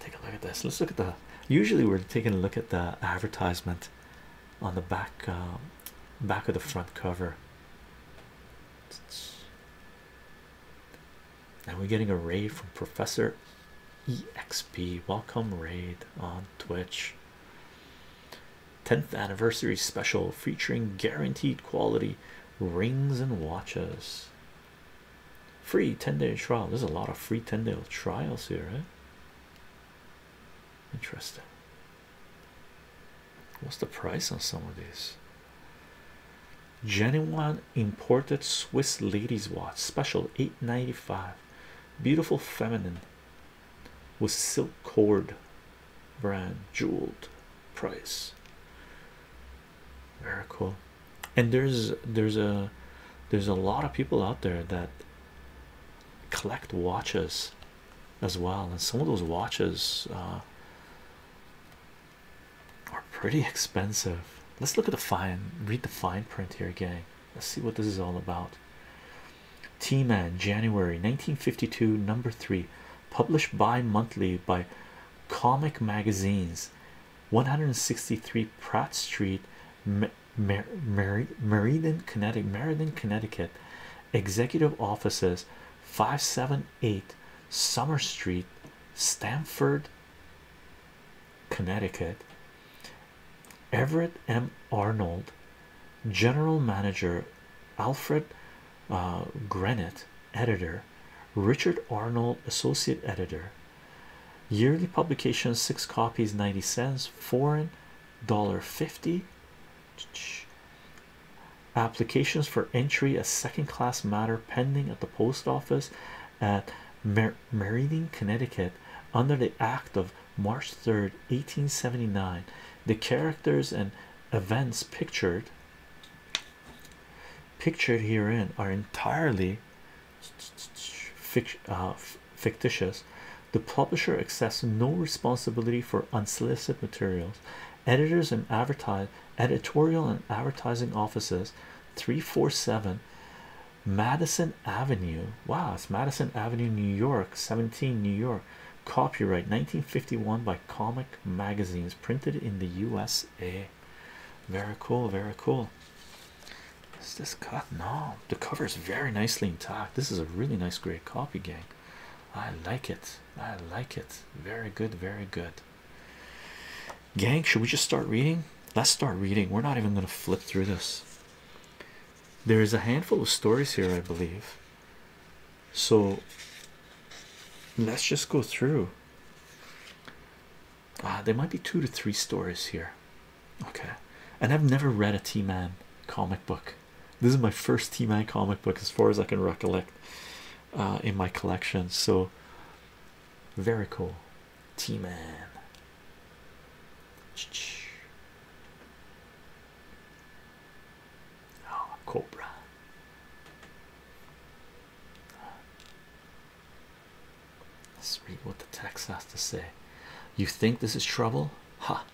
Take a look at this. Let's look at the usually we're taking a look at the advertisement on the back um, back of the front cover. And we're getting a raid from Professor EXP. Welcome raid on Twitch. 10th anniversary special featuring guaranteed quality rings and watches. Free 10 day trial. There's a lot of free 10 day trials here, right? Eh? Interesting. What's the price on some of these? Genuine imported Swiss ladies watch special 895 beautiful feminine with silk cord brand jeweled price very cool and there's there's a there's a lot of people out there that collect watches as well and some of those watches uh, are pretty expensive let's look at the fine read the fine print here gang let's see what this is all about t-man january 1952 number three published bi-monthly by comic magazines 163 pratt street Mer Mer meriden connecticut meriden connecticut executive offices 578 summer street stamford connecticut everett m arnold general manager alfred uh, Grenett, editor, Richard Arnold, associate editor. Yearly publication six copies, 90 cents, foreign dollar 50. Applications for entry a second class matter pending at the post office at Mer Meriden, Connecticut, under the Act of March 3rd, 1879. The characters and events pictured pictured herein are entirely uh, fictitious. The publisher accepts no responsibility for unsolicited materials. Editors and editorial and advertising offices 347 Madison Avenue. Wow, it's Madison Avenue, New York, 17 New York. Copyright 1951 by Comic Magazines, printed in the USA very cool very cool is this cut no the cover is very nicely intact this is a really nice great copy gang i like it i like it very good very good gang should we just start reading let's start reading we're not even going to flip through this there is a handful of stories here i believe so let's just go through uh, there might be two to three stories here okay and i've never read a t-man comic book this is my first t-man comic book as far as i can recollect uh, in my collection so very cool t-man oh cobra Let's read what the text has to say. You think this is trouble? Ha!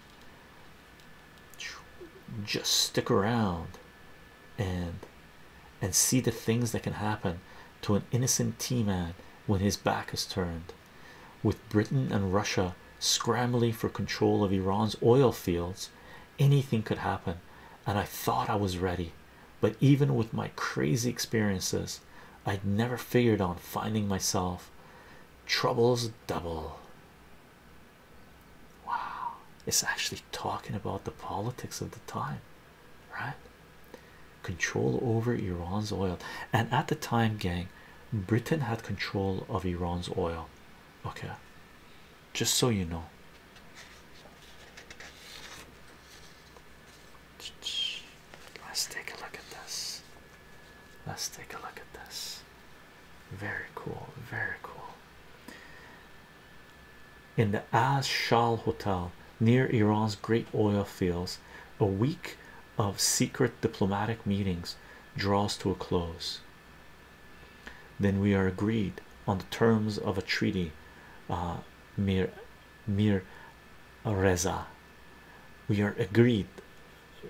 Just stick around and and see the things that can happen to an innocent tea man when his back is turned. With Britain and Russia scrambling for control of Iran's oil fields anything could happen, and I thought I was ready. But even with my crazy experiences, I'd never figured on finding myself troubles double. Wow, it's actually talking about the politics of the time, right? Control over Iran's oil, and at the time, gang, Britain had control of Iran's oil. Okay, just so you know. Let's take a look at this. Let's take a look at this. Very cool, very cool. In the Az Hotel near Iran's great oil fields, a week of secret diplomatic meetings draws to a close. Then we are agreed on the terms of a treaty uh, Mir Mir Reza. We are agreed,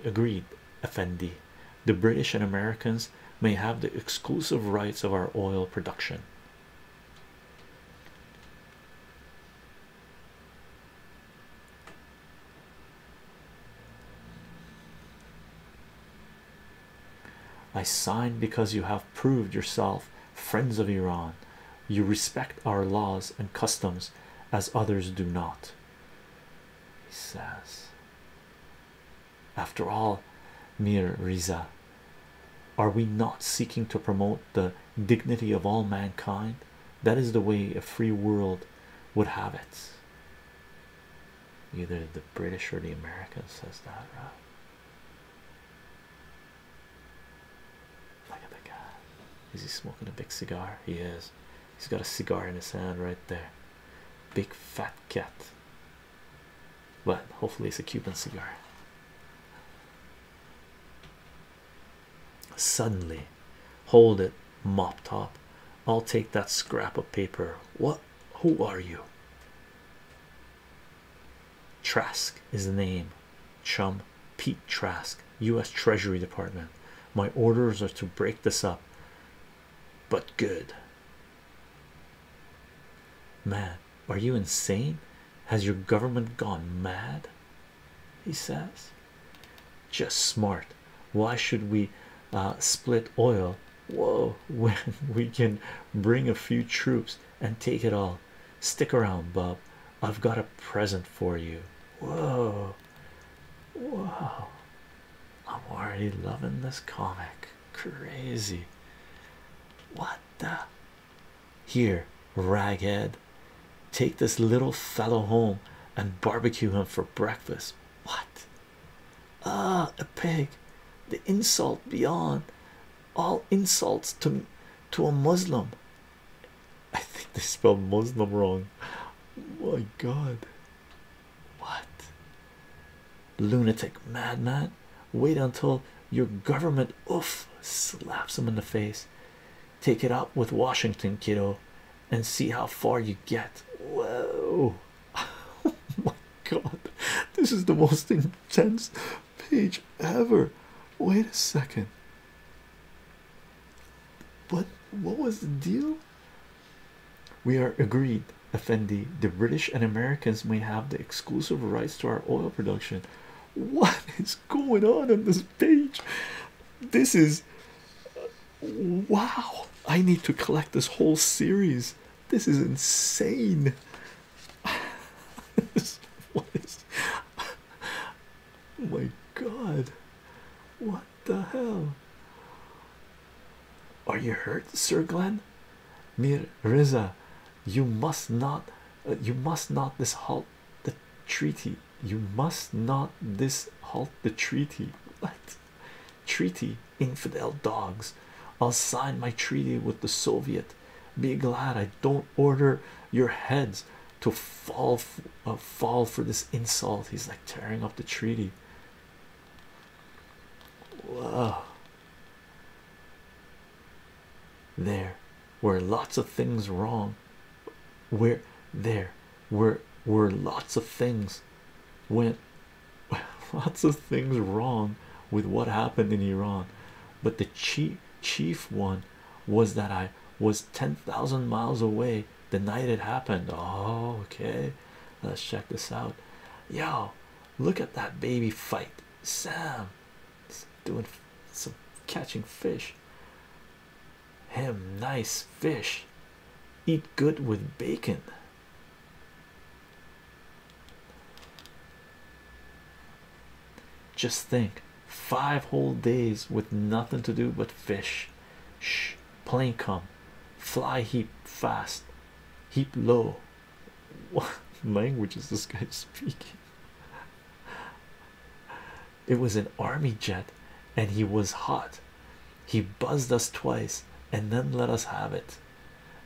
agreed, Effendi. The British and Americans may have the exclusive rights of our oil production. I sign because you have proved yourself friends of Iran. You respect our laws and customs as others do not. He says, After all, Mir Riza, are we not seeking to promote the dignity of all mankind? That is the way a free world would have it. Either the British or the Americans says that, right? Look at the uh, guy. Is he smoking a big cigar? He is. He's got a cigar in his hand right there. Big fat cat. But hopefully it's a Cuban cigar. Suddenly, hold it, mop top. I'll take that scrap of paper. What? Who are you? Trask is the name. Chum Pete Trask, U.S. Treasury Department. My orders are to break this up, but good. Man, are you insane? Has your government gone mad? He says, just smart. Why should we uh, split oil? Whoa, when we can bring a few troops and take it all stick around Bub. I've got a present for you whoa whoa! I'm already loving this comic crazy what the here raghead take this little fellow home and barbecue him for breakfast what ah a pig the insult beyond all insults to to a Muslim. I think they spelled Muslim wrong. my God, what lunatic madman! Wait until your government oof slaps him in the face. Take it up with Washington, kiddo, and see how far you get. Whoa! Oh my God, this is the most intense page ever. Wait a second. But what was the deal? We are agreed, Effendi. The British and Americans may have the exclusive rights to our oil production. What is going on on this page? This is wow. I need to collect this whole series. This is insane. what is oh my god what the hell are you hurt sir Glen? mir riza you must not uh, you must not this halt the treaty you must not this halt the treaty what treaty infidel dogs i'll sign my treaty with the soviet be glad I don't order your heads to fall uh, fall for this insult. He's like tearing up the treaty. Wow. There were lots of things wrong. Where there were were lots of things went lots of things wrong with what happened in Iran, but the chief chief one was that I was 10,000 miles away the night it happened. Oh, okay, let's check this out. Yo, look at that baby fight. Sam is doing some catching fish. Him, nice fish. Eat good with bacon. Just think five whole days with nothing to do but fish. Shh, plane come, fly heap fast, heap low. What language is this guy speaking? It was an army jet and he was hot. He buzzed us twice and then let us have it.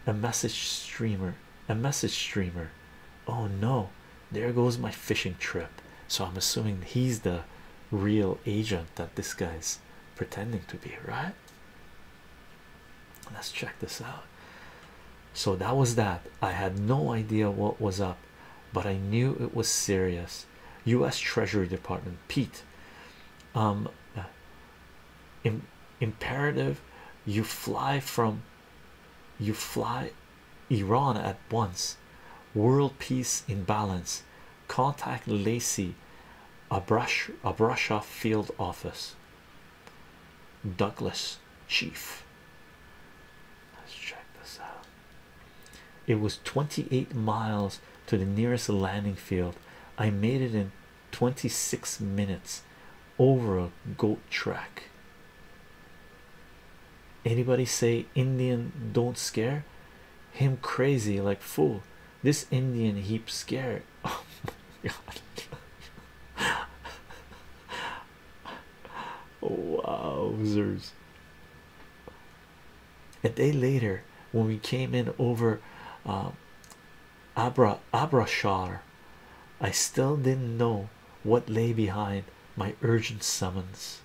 A message streamer a message streamer. Oh no, there goes my fishing trip. So I'm assuming he's the real agent that this guy's pretending to be, right? Let's check this out. So that was that. I had no idea what was up, but I knew it was serious. U.S. Treasury Department, Pete. Um, imperative you fly from you fly Iran at once. World peace in balance. Contact Lacey, brush off Field Office. Douglas Chief. Let's check this out. It was 28 miles to the nearest landing field. I made it in 26 minutes over a goat track. Anybody say Indian don't scare him crazy like fool? This Indian heap scared. Oh my god. Wowzers. A day later, when we came in over Abra uh, Abra Abrashar, I still didn't know what lay behind my urgent summons.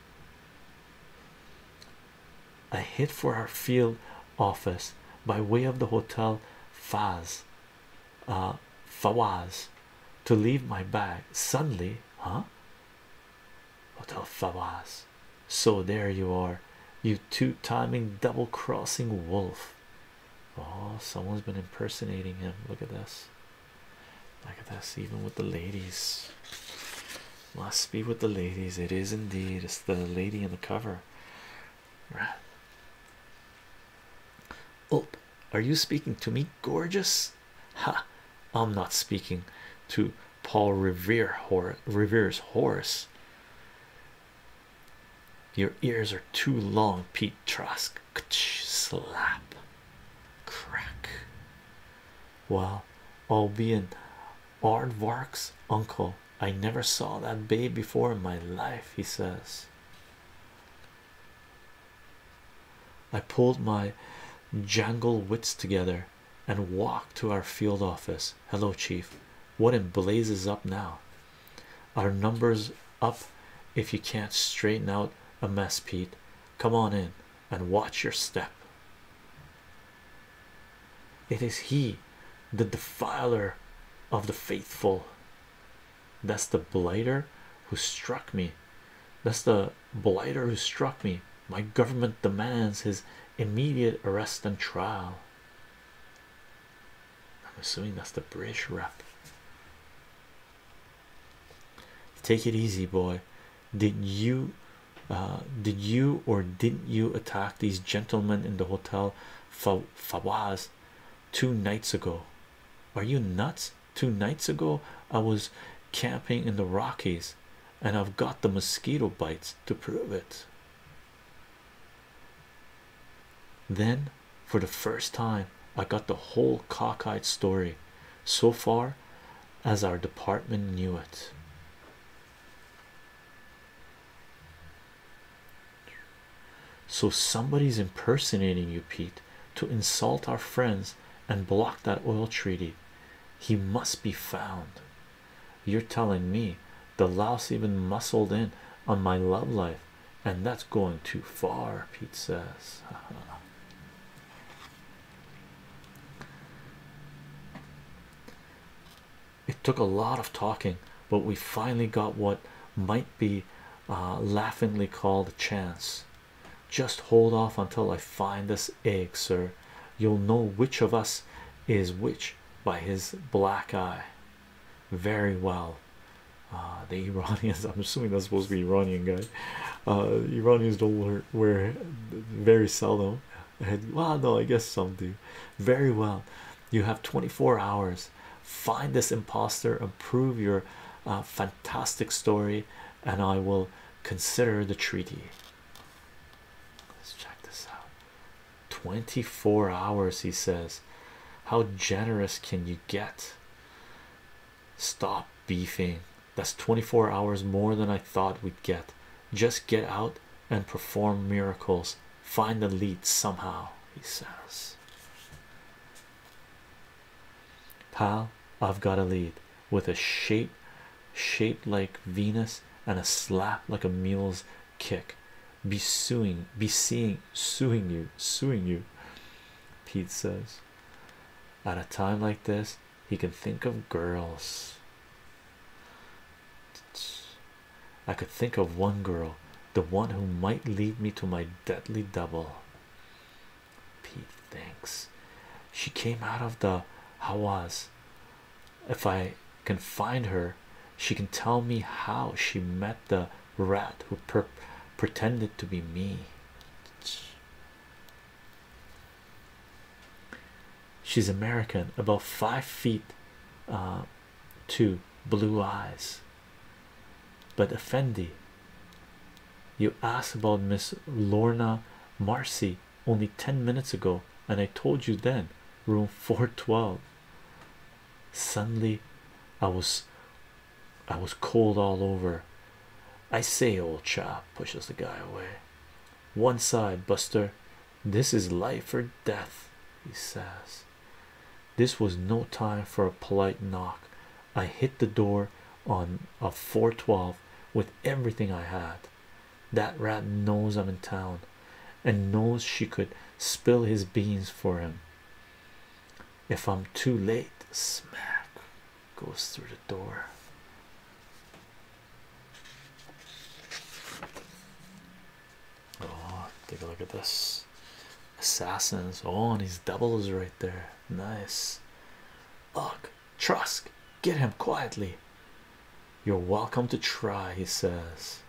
A hit for our field office by way of the hotel Faz, uh, Fawaz, to leave my bag. Suddenly, huh? Hotel Fawaz. So there you are, you two timing, double crossing wolf. Oh, someone's been impersonating him. Look at this. Look at this, even with the ladies. Must be with the ladies. It is indeed. It's the lady in the cover. Right. Oh, are you speaking to me, gorgeous? Ha! I'm not speaking to Paul Revere Revere's horse. Your ears are too long, Pete Trask slap, crack. Well, all hard works, uncle, I never saw that babe before in my life, he says. I pulled my jangle wits together and walked to our field office. Hello, Chief. What in blazes up now? Our numbers up if you can't straighten out a mess, Pete. Come on in and watch your step. It is he, the defiler of the faithful. That's the blighter who struck me. That's the blighter who struck me. My government demands his immediate arrest and trial. I'm assuming that's the British rep. Take it easy, boy. Did you, uh, did you or didn't you attack these gentlemen in the hotel Fa two nights ago? Are you nuts? Two nights ago, I was camping in the Rockies and I've got the mosquito bites to prove it. Then for the first time, I got the whole cockeyed story so far as our department knew it. So, somebody's impersonating you, Pete, to insult our friends and block that oil treaty. He must be found. You're telling me the louse even muscled in on my love life and that's going too far, Pete says. It took a lot of talking, but we finally got what might be uh, laughingly called a chance. Just hold off until I find this egg, sir. You'll know which of us is which by his black eye. Very well, Ah, the Iranians, I'm assuming that's supposed to be Iranian guy. Uh, Iranians don't wear, very seldom. well, no, I guess some do. Very well. You have 24 hours. Find this impostor and prove your uh, fantastic story, and I will consider the treaty. Let's check this out. 24 hours, he says. How generous can you get? Stop beefing. That's 24 hours more than I thought we'd get. Just get out and perform miracles. Find the lead somehow, he says. Pal, I've got a lead with a shape shaped like Venus and a slap like a mule's kick. Be suing, be seeing, suing you, suing you, Pete says. At a time like this, he can think of girls. I could think of one girl, the one who might lead me to my deadly double. Pete thinks she came out of the Hawas. If I can find her, she can tell me how she met the rat who pretended to be me. She's American, about five feet uh, two, blue eyes. But Effendi, you asked about Miss Lorna Marcy only 10 minutes ago, and I told you then, room 412. Suddenly, I was I was cold all over. I say, old chap, pushes the guy away. One side, Buster. This is life or death, he says. This was no time for a polite knock. I hit the door on a 412 with everything I had. That rat knows I'm in town and knows she could spill his beans for him. If I'm too late, smack goes through the door. Oh, take a look at this assassins. Oh, and these doubles right there. Nice. Look, Trusk, get him quietly. You're welcome to try, he says.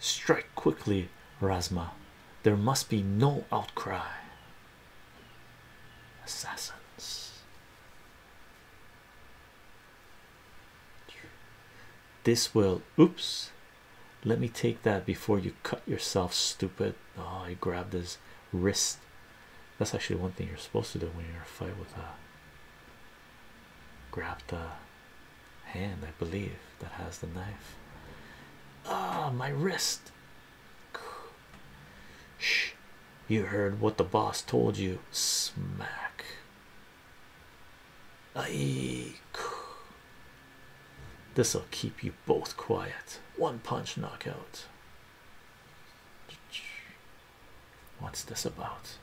Strike quickly, Razma. There must be no outcry. Assassins. This will. Oops. Let me take that before you cut yourself, stupid. Oh, I grabbed his wrist. That's actually one thing you're supposed to do when you're in a fight with a. Grab the hand, I believe, that has the knife. Ah, my wrist. Shh. You heard what the boss told you. Smack. Aye. This'll keep you both quiet. One punch knockout. What's this about?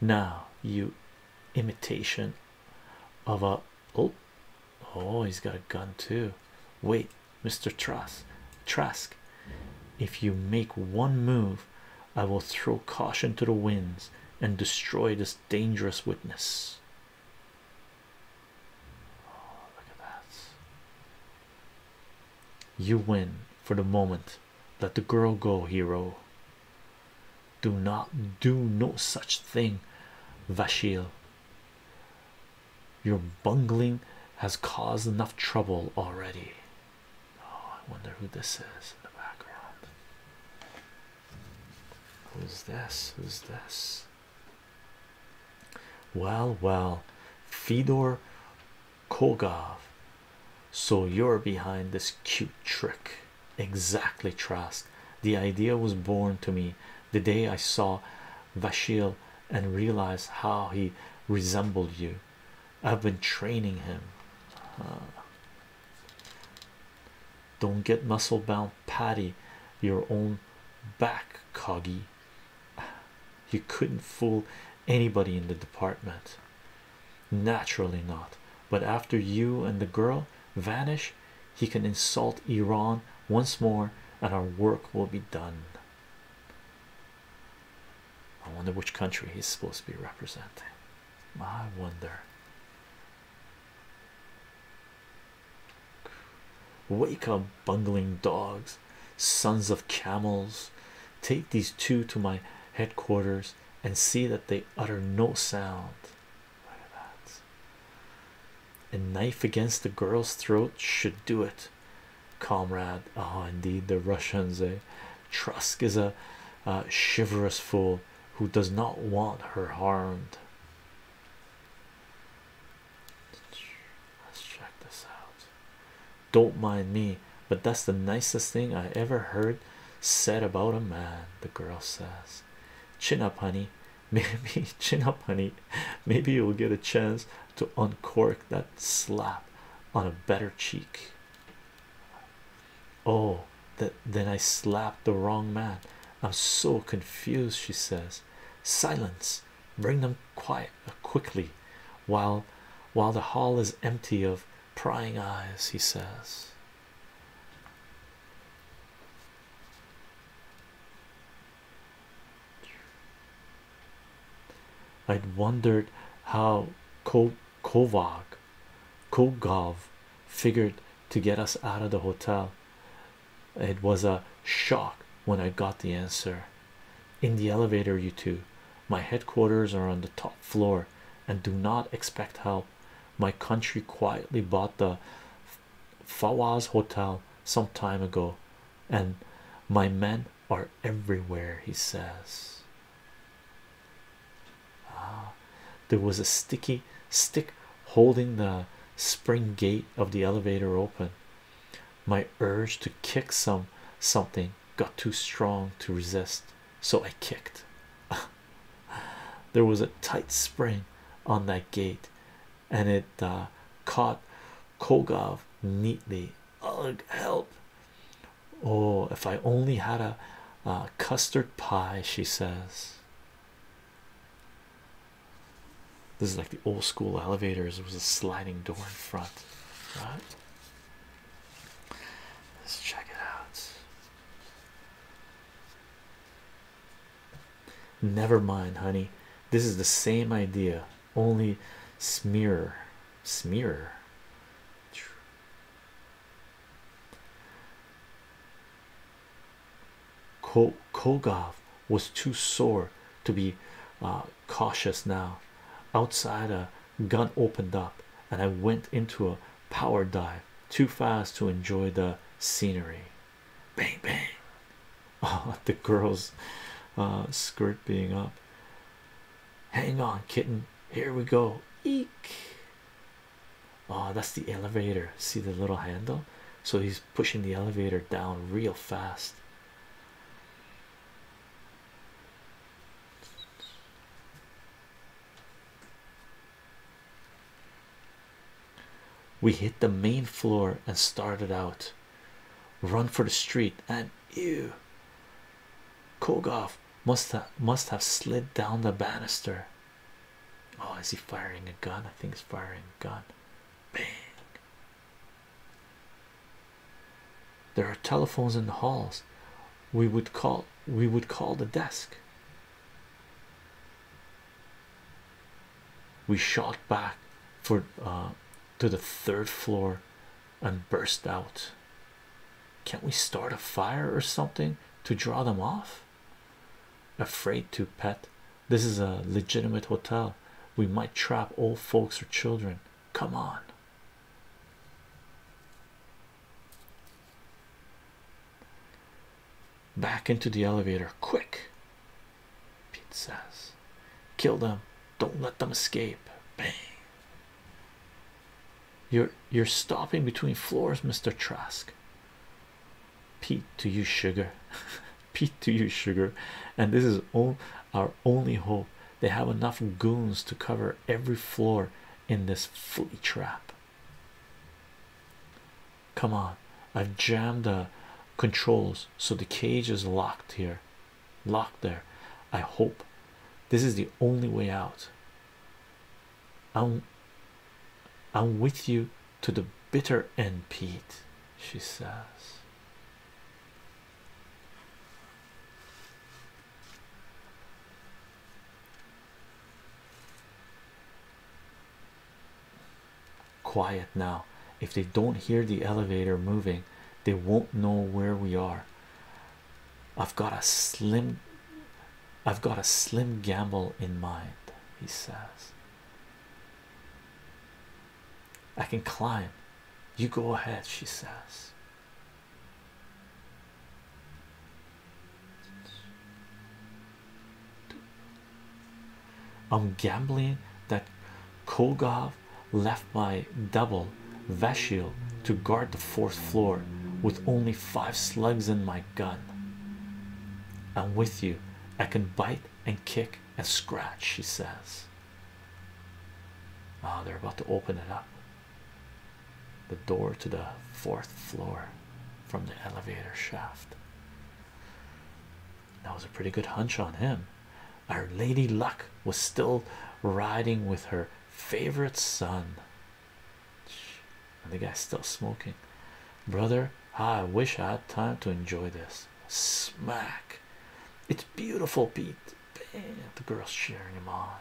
Now, you imitation of a oh, Oh, he's got a gun too. Wait, Mr. Trask, Trask, if you make one move, I will throw caution to the winds and destroy this dangerous witness. Oh, look at that. You win for the moment. Let the girl go, hero. Do not do no such thing, Vashil. Your bungling has caused enough trouble already. Oh, I wonder who this is in the background. Who's this? Who's this? Well, well, Fedor Kogov. So you're behind this cute trick. Exactly, Trask. The idea was born to me the day I saw Vashil and realized how he resembled you. I've been training him. Uh, don't get muscle bound, Paddy. Your own back, Coggy. You couldn't fool anybody in the department. Naturally not. But after you and the girl vanish, he can insult Iran once more, and our work will be done. I wonder which country he's supposed to be representing. I wonder. Wake up, bungling dogs, sons of camels. Take these two to my headquarters and see that they utter no sound. Look at that a knife against the girl's throat should do it, comrade. Ah, indeed, the Russians. Eh? Trusk is a uh, chivalrous fool who does not want her harmed. Let's check this out. Don't mind me, but that's the nicest thing I ever heard said about a man. The girl says, Chin up, honey. Maybe chin up, honey. Maybe you'll get a chance to uncork that slap on a better cheek. Oh, that then I slapped the wrong man. I'm so confused, she says. Silence, bring them quiet uh, quickly while while the hall is empty of prying eyes, he says. I'd wondered how Kovak, Kovag figured to get us out of the hotel. It was a shock when I got the answer. In the elevator, you two. My headquarters are on the top floor and do not expect help. My country quietly bought the Fawaz Hotel some time ago, and my men are everywhere. He says, ah, There was a sticky stick holding the spring gate of the elevator open. My urge to kick some something got too strong to resist, so I kicked. there was a tight spring on that gate and it uh, caught Kogov neatly. Ugh, help! Oh, if I only had a custard pie, she says. This is like the old school elevators, it was a sliding door in front, right? Let's check it out. Never mind, honey. This is the same idea, only smear, smear. Kogov was too sore to be uh, cautious now. Outside, a gun opened up, and I went into a power dive too fast to enjoy the scenery bang bang oh the girl's uh, skirt being up hang on kitten here we go eek oh that's the elevator see the little handle so he's pushing the elevator down real fast we hit the main floor and started out. Run for the street and ew. Kogov must have must have slid down the banister. Oh, is he firing a gun? I think he's firing a gun. Bang. There are telephones in the halls. We would call we would call the desk. We shot back for uh, to the third floor and burst out. Can't we start a fire or something to draw them off? Afraid to pet. This is a legitimate hotel. We might trap old folks or children. Come on. Back into the elevator, quick. Pete says, kill them, don't let them escape. Bang. You're you're stopping between floors, Mr. Trask. Pete do you, sugar. Pete do you, sugar. And this is all our only hope. They have enough goons to cover every floor in this flea trap. Come on, i jammed a controls so the cage is locked here locked there i hope this is the only way out i'm i'm with you to the bitter end pete she says Quiet now. If they don't hear the elevator moving, they won't know where we are. I've got a slim I've got a slim gamble in mind, he says. I can climb. You go ahead, she says. I'm gambling that Kogov left my double Vashil to guard the fourth floor with only five slugs in my gun. I'm with you. I can bite and kick and scratch, she says. Ah, they're about to open it up. The door to the fourth floor from the elevator shaft. That was a pretty good hunch on him. Our lady luck was still riding with her favorite son, and the guy's still smoking. Brother, I wish I had time to enjoy this. Smack, it's beautiful, Pete. the girl's cheering him on.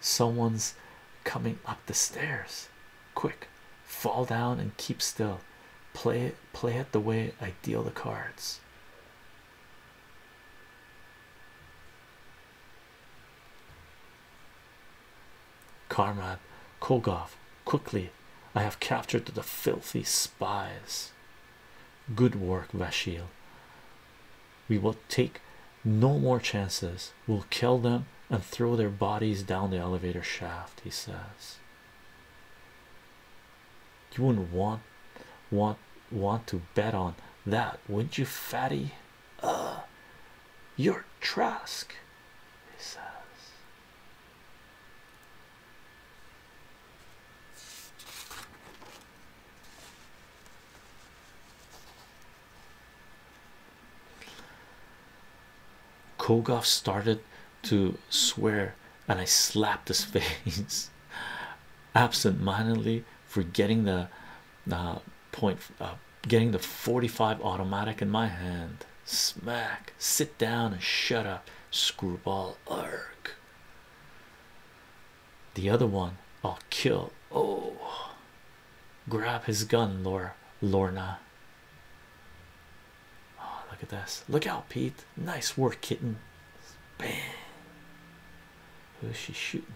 Someone's coming up the stairs. Quick, fall down and keep still. Play it, play it the way I deal the cards. Karmad, Kogov, quickly. I have captured the filthy spies. Good work, Vashil. We will take no more chances. We'll kill them and throw their bodies down the elevator shaft, he says. You wouldn't want want want to bet on that, wouldn't you, fatty? Uh your Trask, he says. Kogov started to swear, and I slapped his face absent-mindedly for the uh, point, uh, getting the 45 automatic in my hand. Smack, sit down and shut up, screwball. Arg the other one I'll kill. Oh, grab his gun, Laura Lorna. Oh, look at this! Look out, Pete! Nice work, kitten. Bang. Who's she shooting?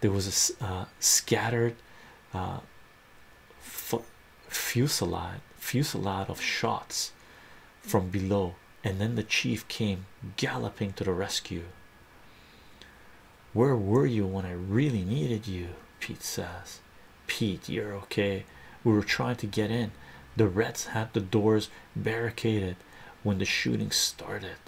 There was a uh, scattered uh, fusillade of shots from below, and then the chief came galloping to the rescue. Where were you when I really needed you? Pete says. Pete, you're okay. We were trying to get in. The Reds had the doors barricaded when the shooting started.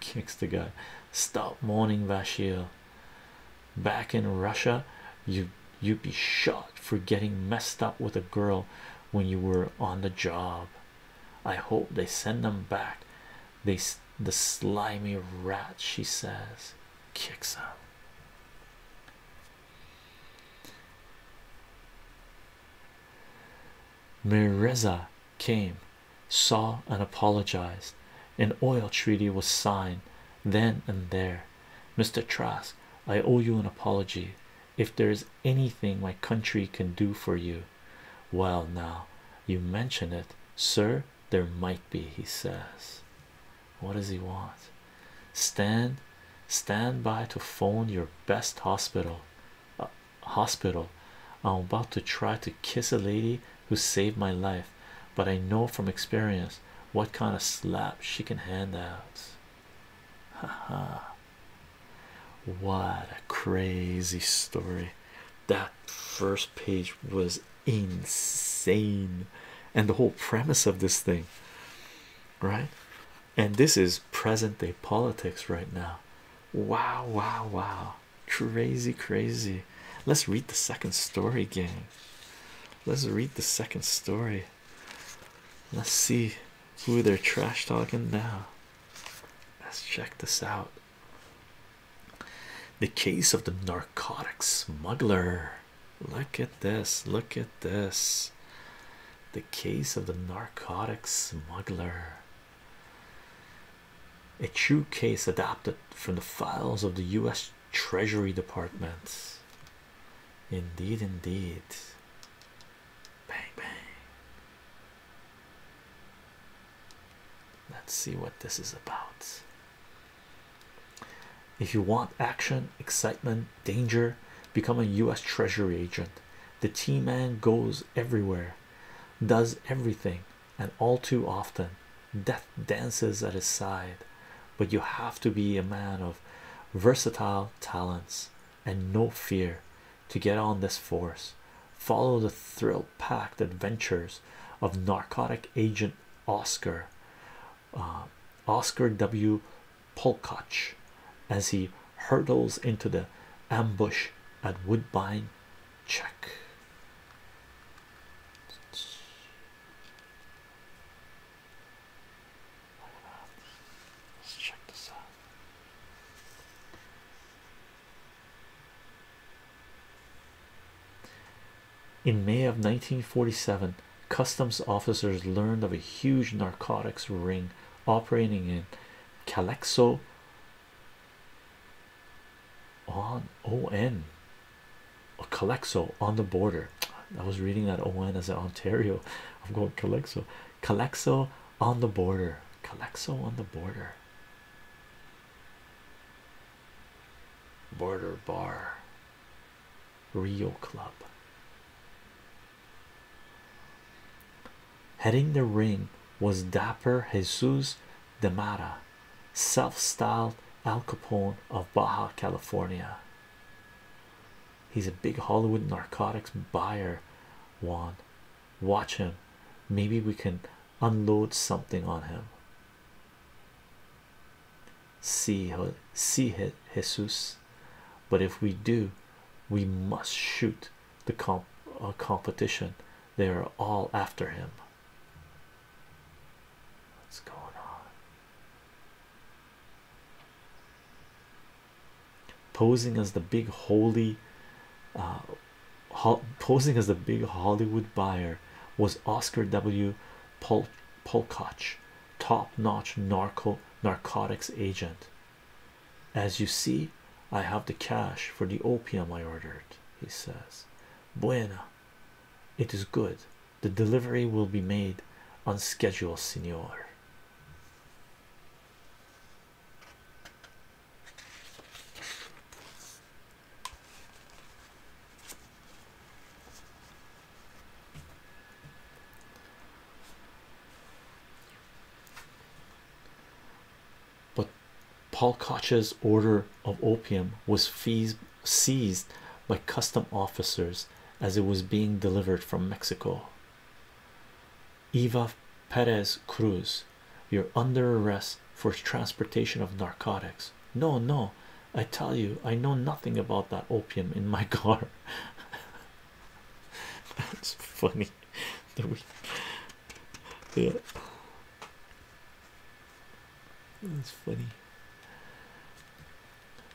Kicks the guy. Stop mourning, Vashil. Back in Russia, you you'd be shot for getting messed up with a girl when you were on the job. I hope they send them back. They the slimy rat, she says, kicks up. Mireza came, saw, and apologized. An oil treaty was signed then and there. Mr. Trask. I owe you an apology. If there is anything my country can do for you, well, now you mention it, sir, there might be, he says. What does he want? Stand, stand by to phone your best hospital. Uh, hospital, I'm about to try to kiss a lady who saved my life, but I know from experience what kind of slap she can hand out. Haha. what a crazy story. That first page was insane, and the whole premise of this thing, right? And this is present day politics right now. Wow, wow, wow. Crazy, crazy. Let's read the second story, gang. Let's read the second story. Let's see who they're trash talking now. Let's check this out. The case of the narcotics smuggler. Look at this. Look at this. The case of the narcotics smuggler. A true case adapted from the files of the U.S. Treasury Department. Indeed, indeed. Bang, bang. Let's see what this is about. If you want action, excitement, danger, become a US Treasury agent. The T Man goes everywhere, does everything, and all too often death dances at his side but you have to be a man of versatile talents and no fear to get on this force. Follow the thrill packed adventures of narcotic agent Oscar, uh, Oscar W. Polkoch, as he hurtles into the ambush at Woodbine. Check. Let's check this out. In May of 1947, customs officers learned of a huge narcotics ring operating in Calexo on ON Calexo on the border. I was reading that ON as an Ontario I'm going Calexo, Calexo on the border, Calexo on the border, border bar, Rio Club, heading the ring was dapper Jesus de Mara, self-styled Al Capone of Baja California. He's a big Hollywood narcotics buyer. Juan, watch him. Maybe we can unload something on him. See, see, Jesus. But if we do, we must shoot the comp uh, competition. They are all after him. What's going on? posing as the big holy uh, posing as the big Hollywood buyer was Oscar W. Pol Polkoch, top-notch narco narcotics agent. As you see, I have the cash for the opium I ordered, he says. Buena, it is good. The delivery will be made on schedule, senor. But Paul Koch's order of opium was seized by custom officers as it was being delivered from Mexico. Eva Perez Cruz, you're under arrest for transportation of narcotics. No, no, I tell you, I know nothing about that opium in my car. That's funny. yeah. That's funny.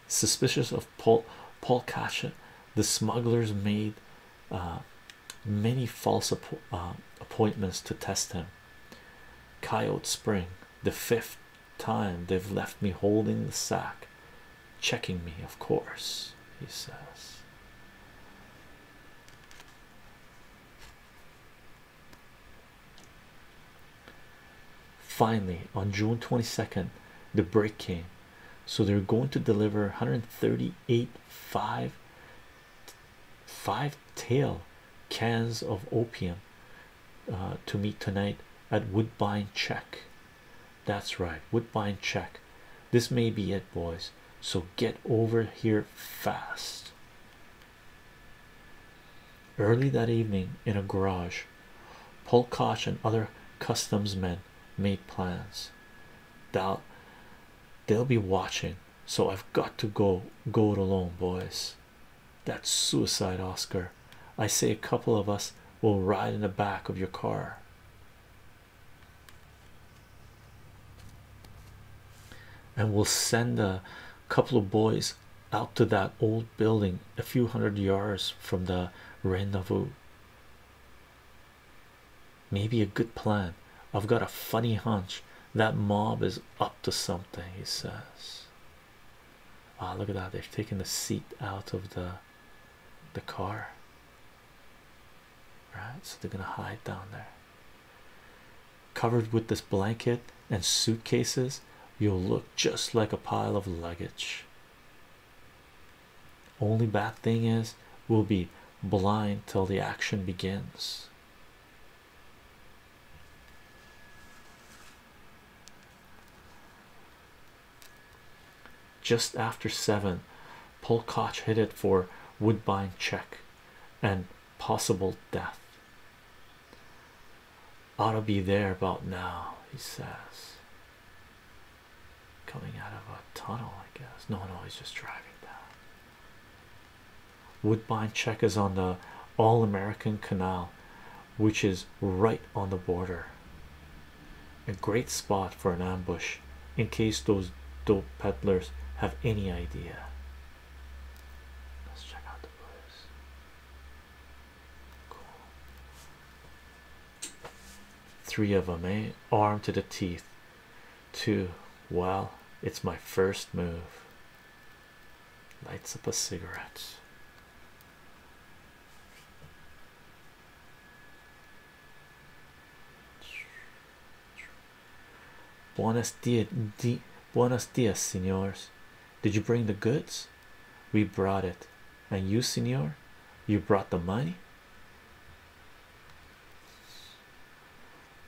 Suspicious of Paul Paul Kasha, the smugglers made uh, many false uh, appointments to test him. Coyote Spring, the fifth time they've left me holding the sack, checking me, of course, he says. Finally, on June 22nd, the break came so they're going to deliver 138 five five tail cans of opium uh, to me tonight at Woodbine check that's right Woodbine check this may be it boys so get over here fast early that evening in a garage Polkosh and other customs men ahead make plans they'll they'll be watching so i've got to go go it alone boys that's suicide oscar i say a couple of us will ride in the back of your car and we'll send a couple of boys out to that old building a few hundred yards from the rendezvous Maybe a good plan. I've got a funny hunch that mob is up to something, he says. Ah, oh, look at that. they are taking the seat out of the the car. Right, so they're gonna hide down there. Covered with this blanket and suitcases, you'll look just like a pile of luggage. Only bad thing is we'll be blind till the action begins. Just after seven, Polkoch hit it for Woodbine check and possible death. Ought to be there about now, he says coming out of a tunnel, I guess. No, no, he's just driving down. Woodbine check is on the All American Canal, which is right on the border. A great spot for an ambush in case those dope peddlers have any idea. Let's check out the blues. Cool. Three of them, eh? Armed to the teeth. Two. Well, it's my first move. Lights up a cigarette. Buenos dias, di buenos dias, senors. Did you bring the goods? We brought it. And you, senor? You brought the money?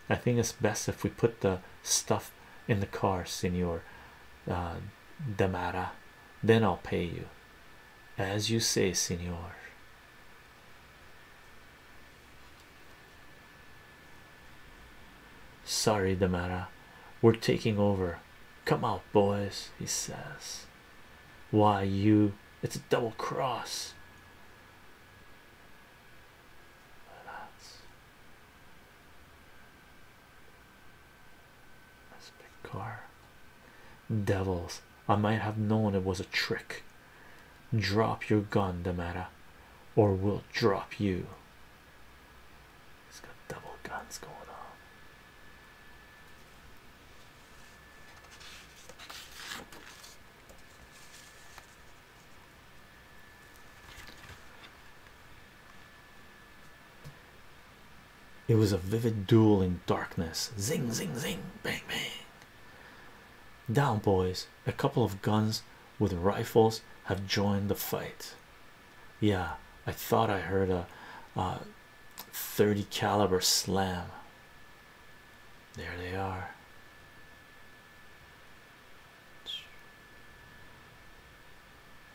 I think it's best if we put the stuff in the car, Senor uh, Damara. Then I'll pay you. As you say, Senor. Sorry, Damara. We're taking over. Come out, boys, he says. Why you? It's a double cross. That's, a big car. Devils, I might have known it was a trick. Drop your gun, Damara, or we'll drop you. He's got double guns going on. It was a vivid duel in darkness. Zing, zing, zing, bang, bang. Down, boys. A couple of guns with rifles have joined the fight. Yeah, I thought I heard a uh, 30 caliber slam. There they are.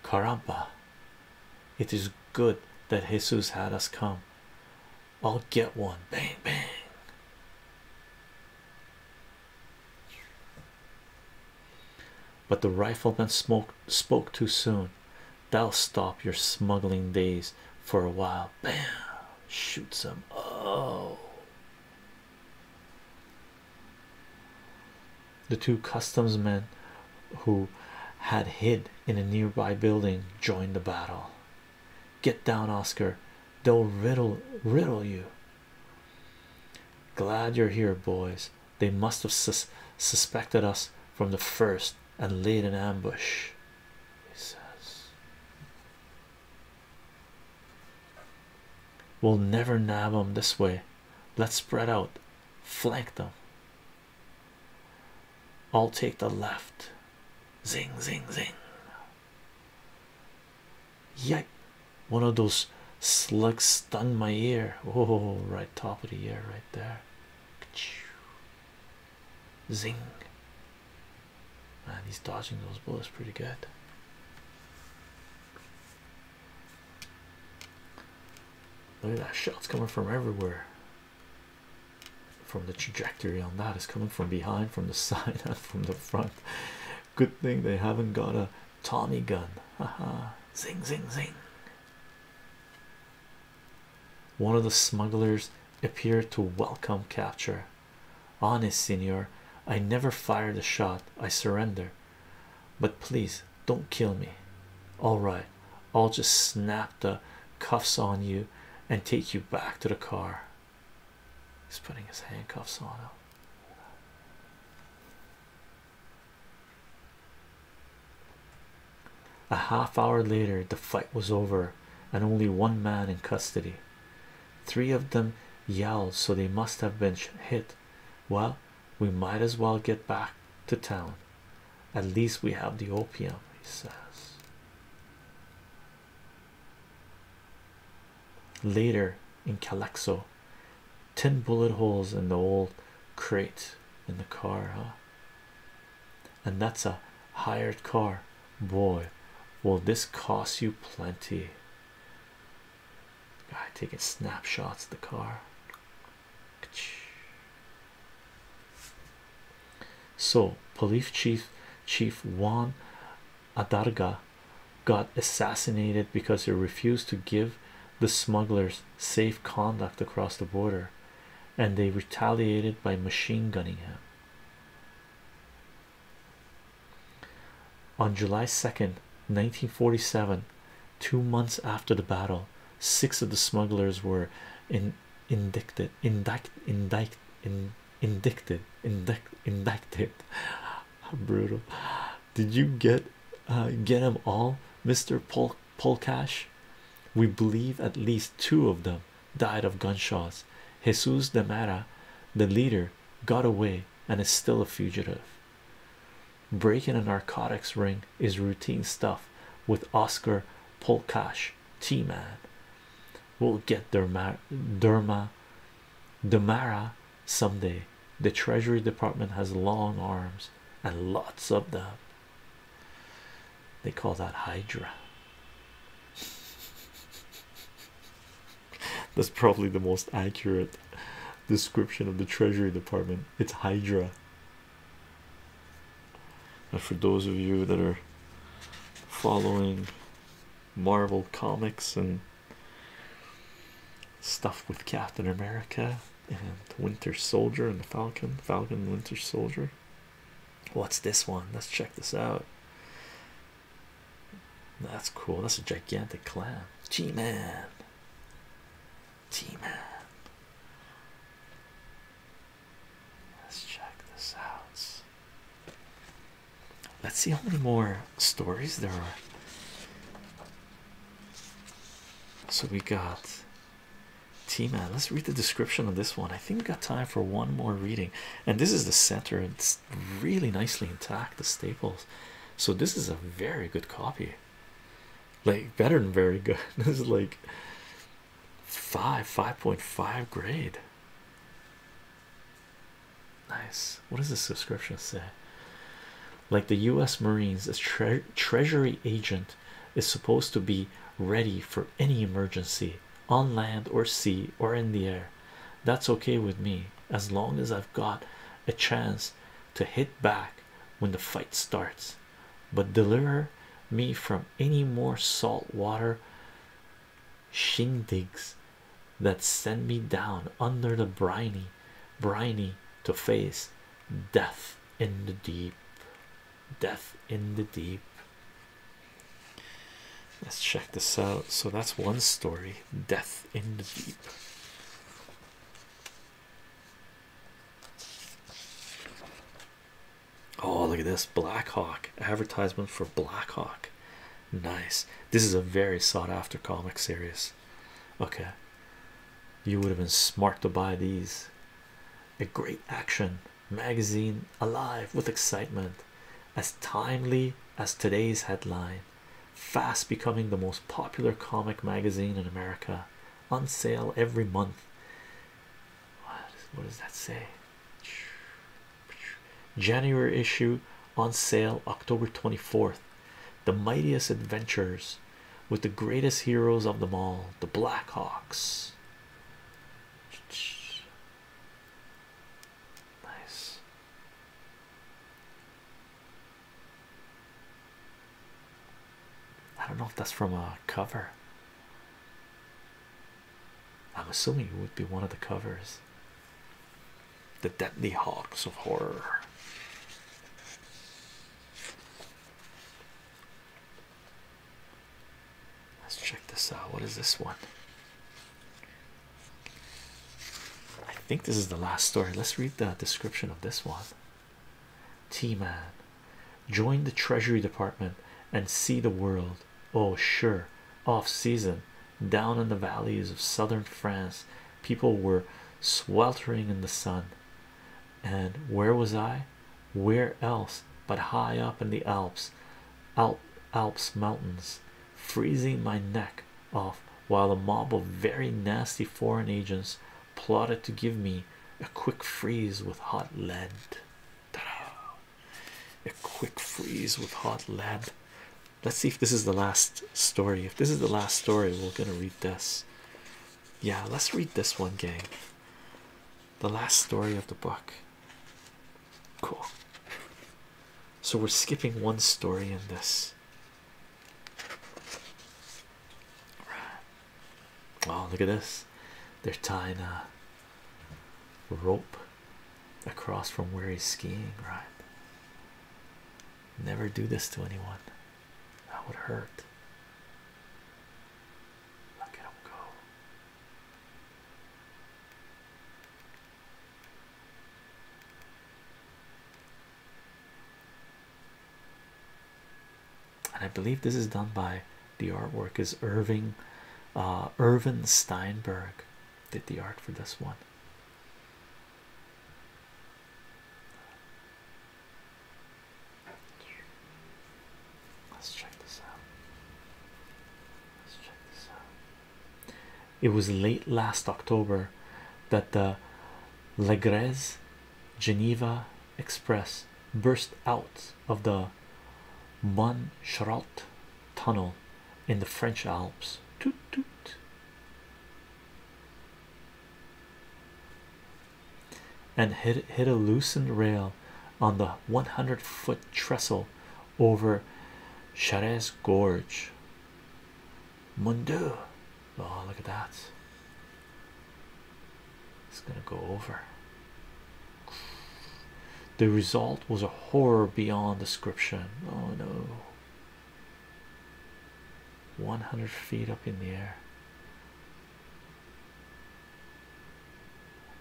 Caramba, it is good that Jesus had us come. I'll get one. Bang, bang. But the rifleman spoke too soon. That'll stop your smuggling days for a while. Bam! Shoots him. Oh. The two customs men who had hid in a nearby building joined the battle. Get down, Oscar. They'll riddle riddle you. Glad you're here, boys. They must have sus suspected us from the first and laid an ambush. He says, We'll never nab them this way. Let's spread out, flank them. I'll take the left. Zing, zing, zing. Yep, one of those slugs stung my ear. Oh, right top of the ear, right there. Zing. Man, he's dodging those bullets pretty good. Look at that shots coming from everywhere. From the trajectory on that is coming from behind, from the side, and from the front. Good thing they haven't got a Tommy gun. Haha. zing, zing, zing. One of the smugglers appeared to welcome capture. Honest, senor, I never fired a shot, I surrender. But please don't kill me. All right, I'll just snap the cuffs on you and take you back to the car. He's putting his handcuffs on him. A half hour later, the fight was over, and only one man in custody. Three of them yelled, so they must have been hit. Well, we might as well get back to town. At least we have the opium, he says. Later in Calexo, ten bullet holes in the old crate in the car, huh? and that's a hired car boy Well, this costs you plenty guy taking snapshots of the car so police chief chief juan adarga got assassinated because he refused to give the smugglers safe conduct across the border and they retaliated by machine gunning him. On July 2nd, 1947, two months after the battle, six of the smugglers were in, indicted, indict, indict, in, indicted, indict, indicted. brutal! Did you get uh, get them all, Mister Pol Polkash? We believe at least two of them died of gunshots. Jesus de Mara, the leader, got away and is still a fugitive. Breaking a narcotics ring is routine stuff with Oscar Polkash, T Man. We'll get Derma Derma Demara someday. The Treasury Department has long arms and lots of them. They call that Hydra. That's probably the most accurate description of the Treasury Department. It's Hydra. And for those of you that are following Marvel comics and stuff with Captain America and Winter Soldier and the Falcon, Falcon Winter Soldier, What's this one? Let's check this out. That's cool. That's a gigantic clam. G Man. G Man. Let's check this out. Let's see how many more stories there are. So we got T man, let's read the description of this one. I think we got time for one more reading, and this is the center, it's really nicely intact. The staples, so this is a very good copy, like better than very good. this is like five, 5.5 grade. Nice. What does the subscription say? Like the US Marines, a tre treasury agent is supposed to be ready for any emergency on land or sea or in the air. That's okay with me as long as I've got a chance to hit back when the fight starts. But deliver me from any more salt water shindigs that send me down under the briny, briny to face death in the deep, death in the deep. Let's check this out. So that's one story Death in the Deep. Oh, look at this Blackhawk advertisement for Blackhawk. Nice. This is a very sought after comic series. Okay, you would have been smart to buy these. A great action magazine alive with excitement, as timely as today's headline, fast becoming the most popular comic magazine in America, on sale every month. What, does that say? January issue on sale October 24th. The mightiest adventures with the greatest heroes of them all, the Blackhawks. Nice. I don't know if that's from a cover. I'm assuming it would be one of the covers. The Deadly Hawks of Horror. Let's check this out. What is this one? I think this is the last story. Let's read the description of this one. T Man join the Treasury Department and see the world. Oh, sure, off season down in the valleys of southern France, people were sweltering in the sun. And where was I? where else but high up in the Alps, Alp, Alps mountains, freezing my neck off while a mob of very nasty foreign agents plotted to give me a quick freeze with hot lead. A quick freeze with hot lead. Let's see if this is the last story. If this is the last story, we're gonna read this. Yeah, let's read this one, gang the last story of the book. Cool. So we're skipping one story in this. Oh, look at this. They're tying a rope across from where he's skiing, right? Never do this to anyone. That would hurt. Look at him go. And I believe this is done by the artwork is Irving uh Irvin Steinberg did the art for this one. Let's check this out. Let's check this out. It was late last October that the Legrez Geneva Express burst out of the Montcherault tunnel in the French Alps. Toot, toot. And hit, hit a loosened rail on the 100 foot trestle over Charez Gorge. Mundo. Oh, look at that. It's gonna go over. The result was a horror beyond description. Oh no. 100 feet up in the air.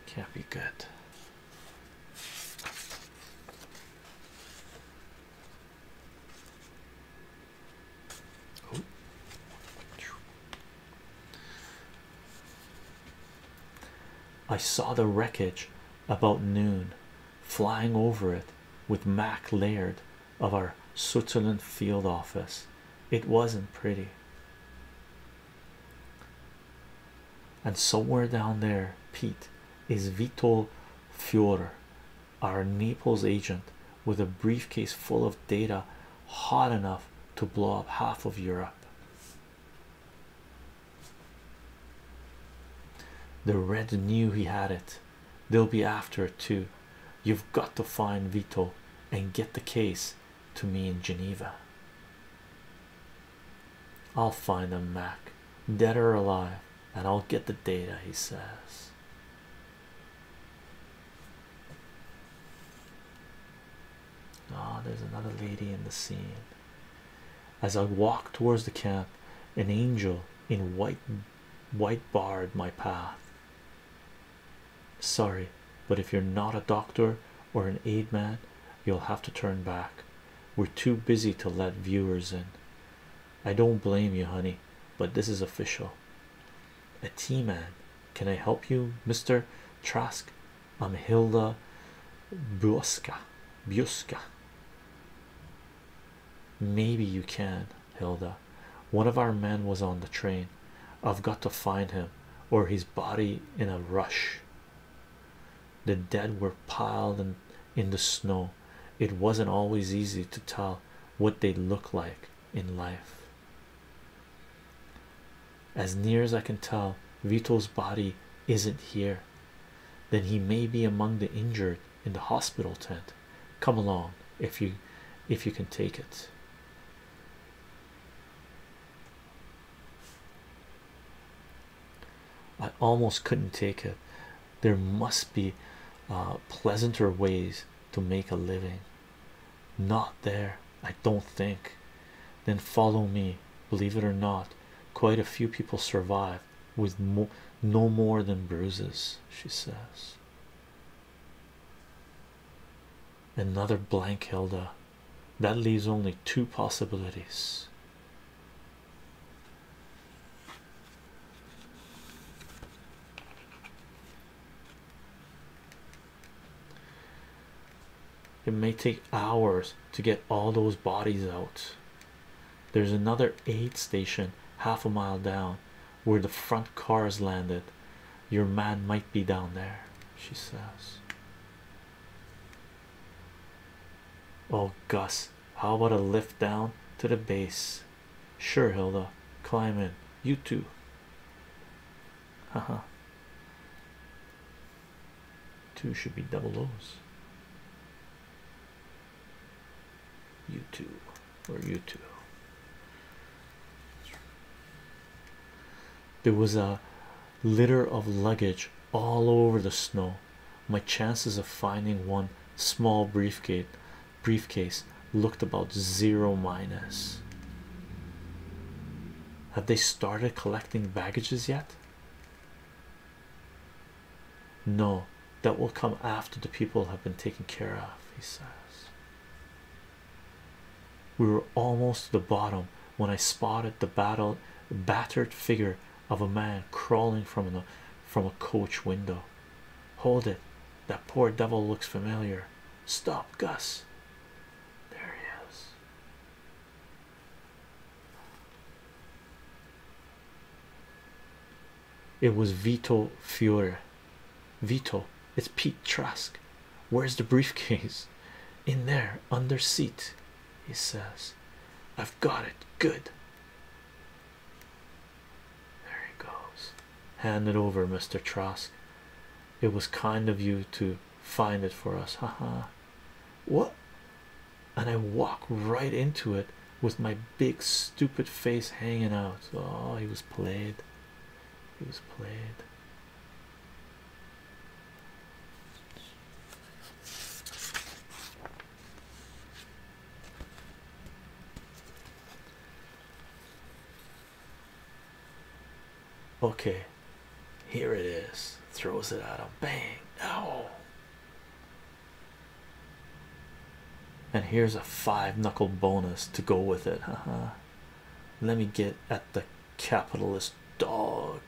Can't be good. I saw the wreckage about noon flying over it with Mac Laird of our Switzerland field office. It wasn't pretty and somewhere down there, Pete is Vito Fiore, our Naples agent, with a briefcase full of data hot enough to blow up half of Europe. The Red knew he had it, they'll be after it too. You've got to find Vito and get the case to me in Geneva. I'll find them, Mac, dead or alive, and I'll get the data, he says. Ah, there's another lady in the scene. As I walked towards the camp, an angel in white white barred my path. Sorry, but if you're not a doctor or an aid man, you'll have to turn back. We're too busy to let viewers in. I don't blame you, honey, but this is official. A tea man, can I help you, Mr. Trask? I'm Hilda Buska. Buska. Maybe you can, Hilda. One of our men was on the train. I've got to find him, or his body in a rush. The dead were piled in, the snow. It wasn't always easy to tell what they looked like in life. As near as I can tell, Vito's body isn't here. Then he may be among the injured in the hospital tent. Come along if you if you can take it. I almost couldn't take it. There must be uh, pleasanter ways to make a living. Not there, I don't think. Then follow me. Believe it or not, quite a few people survive with no more than bruises, she says. Another blank Hilda that leaves only two possibilities it may take hours to get all those bodies out there's another aid station half a mile down where the front cars landed your man might be down there she says Oh, Gus, how about a lift down to the base? Sure, Hilda, climb in. You too. Ha ha. Two should be double O's. You two, or you two. There was a litter of luggage all over the snow. My chances of finding one small briefcase looked about zero minus. Have they started collecting baggages yet? No, that will come after the people have been taken care of, he says. We were almost to the bottom when I spotted the battle battered figure of a man crawling from the from a coach window. Hold it, that poor devil looks familiar. Stop, Gus. There he is. It was Vito Fiore. Vito, it's Pete Trask. Where's the briefcase? In there, under seat he says. I've got it. Good. There he goes. Hand it over, Mr. Trask. It was kind of you to find it for us. Ha ha. what? And I walk right into it with my big stupid face hanging out. Oh, he was played. He was played. Okay, here it is. Throws it out. him. Bang! Ow! And here's a five knuckle bonus to go with it. Let me get at the capitalist dog.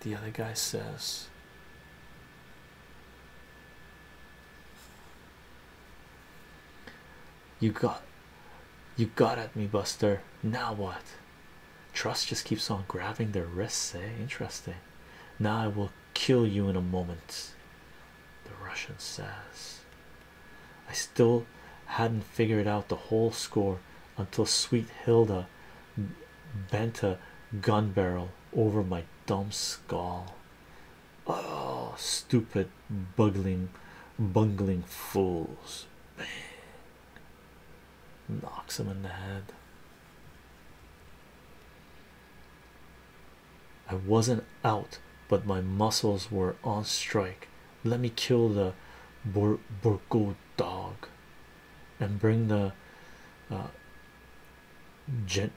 The other guy says, You got you got at me, Buster. Now what? Trust just keeps on grabbing their wrists, eh? Interesting. Now I will kill you in a moment. The Russian says, I still hadn't figured out the whole score until sweet Hilda bent a gun barrel over my dumb skull. Oh, stupid, buggling, bungling fools! Bang. Knocks him in the head. I wasn't out, but my muscles were on strike. Let me kill the Burgo dog and bring the uh,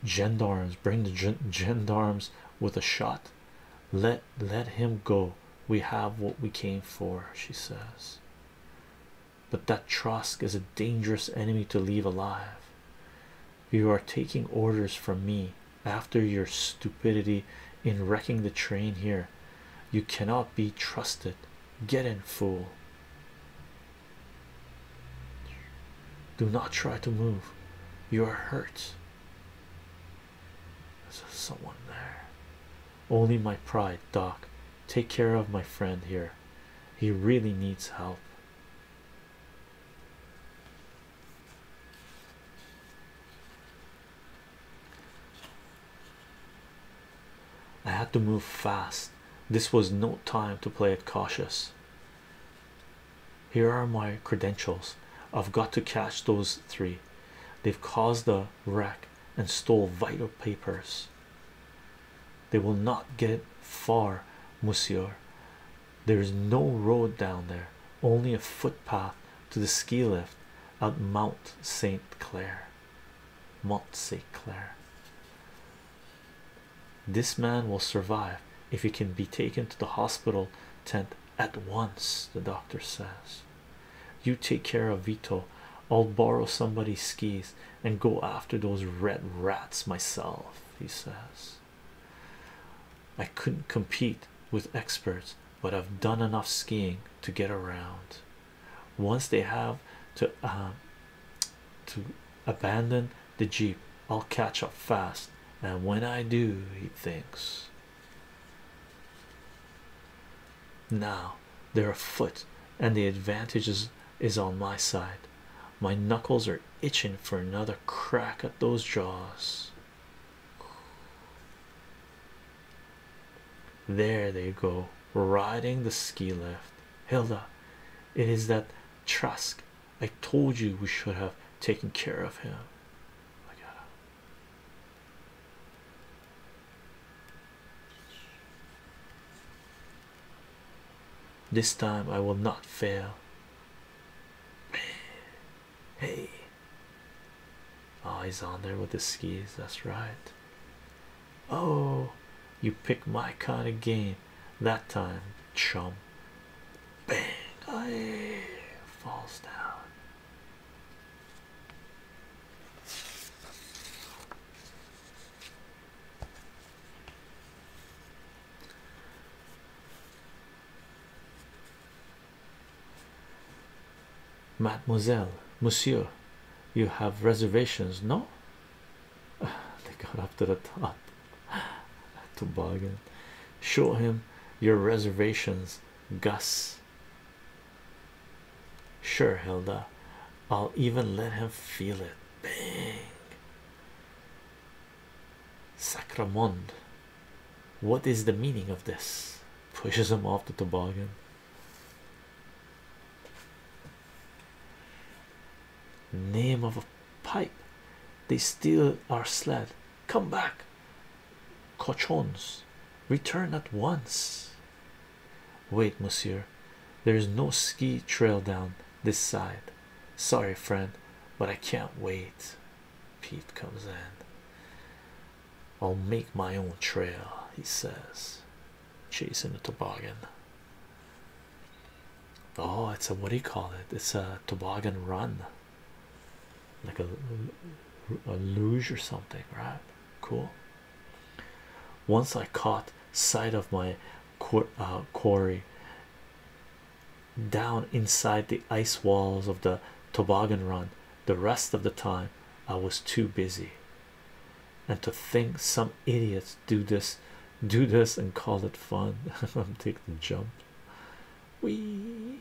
gendarmes bring the gendarmes with a shot let let him go we have what we came for she says but that Trosk is a dangerous enemy to leave alive. You are taking orders from me after your stupidity in wrecking the train here. You cannot be trusted. Get in, fool. Do not try to move. You are hurt. There's someone there. Only my pride, Doc. Take care of my friend here. He really needs help. I had to move fast. This was no time to play it cautious. Here are my credentials. I've got to catch those three. They've caused a wreck and stole vital papers. They will not get far, monsieur. There is no road down there, only a footpath to the ski lift at Mount St. Clair. Mont St. Clair. This man will survive if he can be taken to the hospital tent at once, the doctor says. You take care of Vito, I'll borrow somebody's skis and go after those red rats myself, he says. I couldn't compete with experts, but I've done enough skiing to get around once they have to uh, to abandon the jeep i'll catch up fast and when i do he thinks now they're afoot and the advantage is, is on my side my knuckles are itching for another crack at those jaws there they go riding the ski lift Hilda, it is that Trask. I told you we should have taken care of him. I This time I will not fail. Hey, oh, he's on there with the skis. That's right. Oh, you pick my kind of game that time, chum. Bang! I falls down. Mademoiselle, Monsieur, you have reservations, no? they got up to the top toboggan show him your reservations gus sure hilda i'll even let him feel it bang sacramond what is the meaning of this pushes him off the toboggan Name of a pipe, they steal our sled. Come back, cochons, return at once. Wait, monsieur, there is no ski trail down this side. Sorry, friend, but I can't wait. Pete comes in. I'll make my own trail, he says chasing a toboggan. Oh, it's a what do you call it? It's a toboggan run, like a, a luge or something, right? Cool. Once I caught sight of my uh, quarry down inside the ice walls of the toboggan run, the rest of the time I was too busy and to think some idiots do this do this and call it fun i'm taking the jump we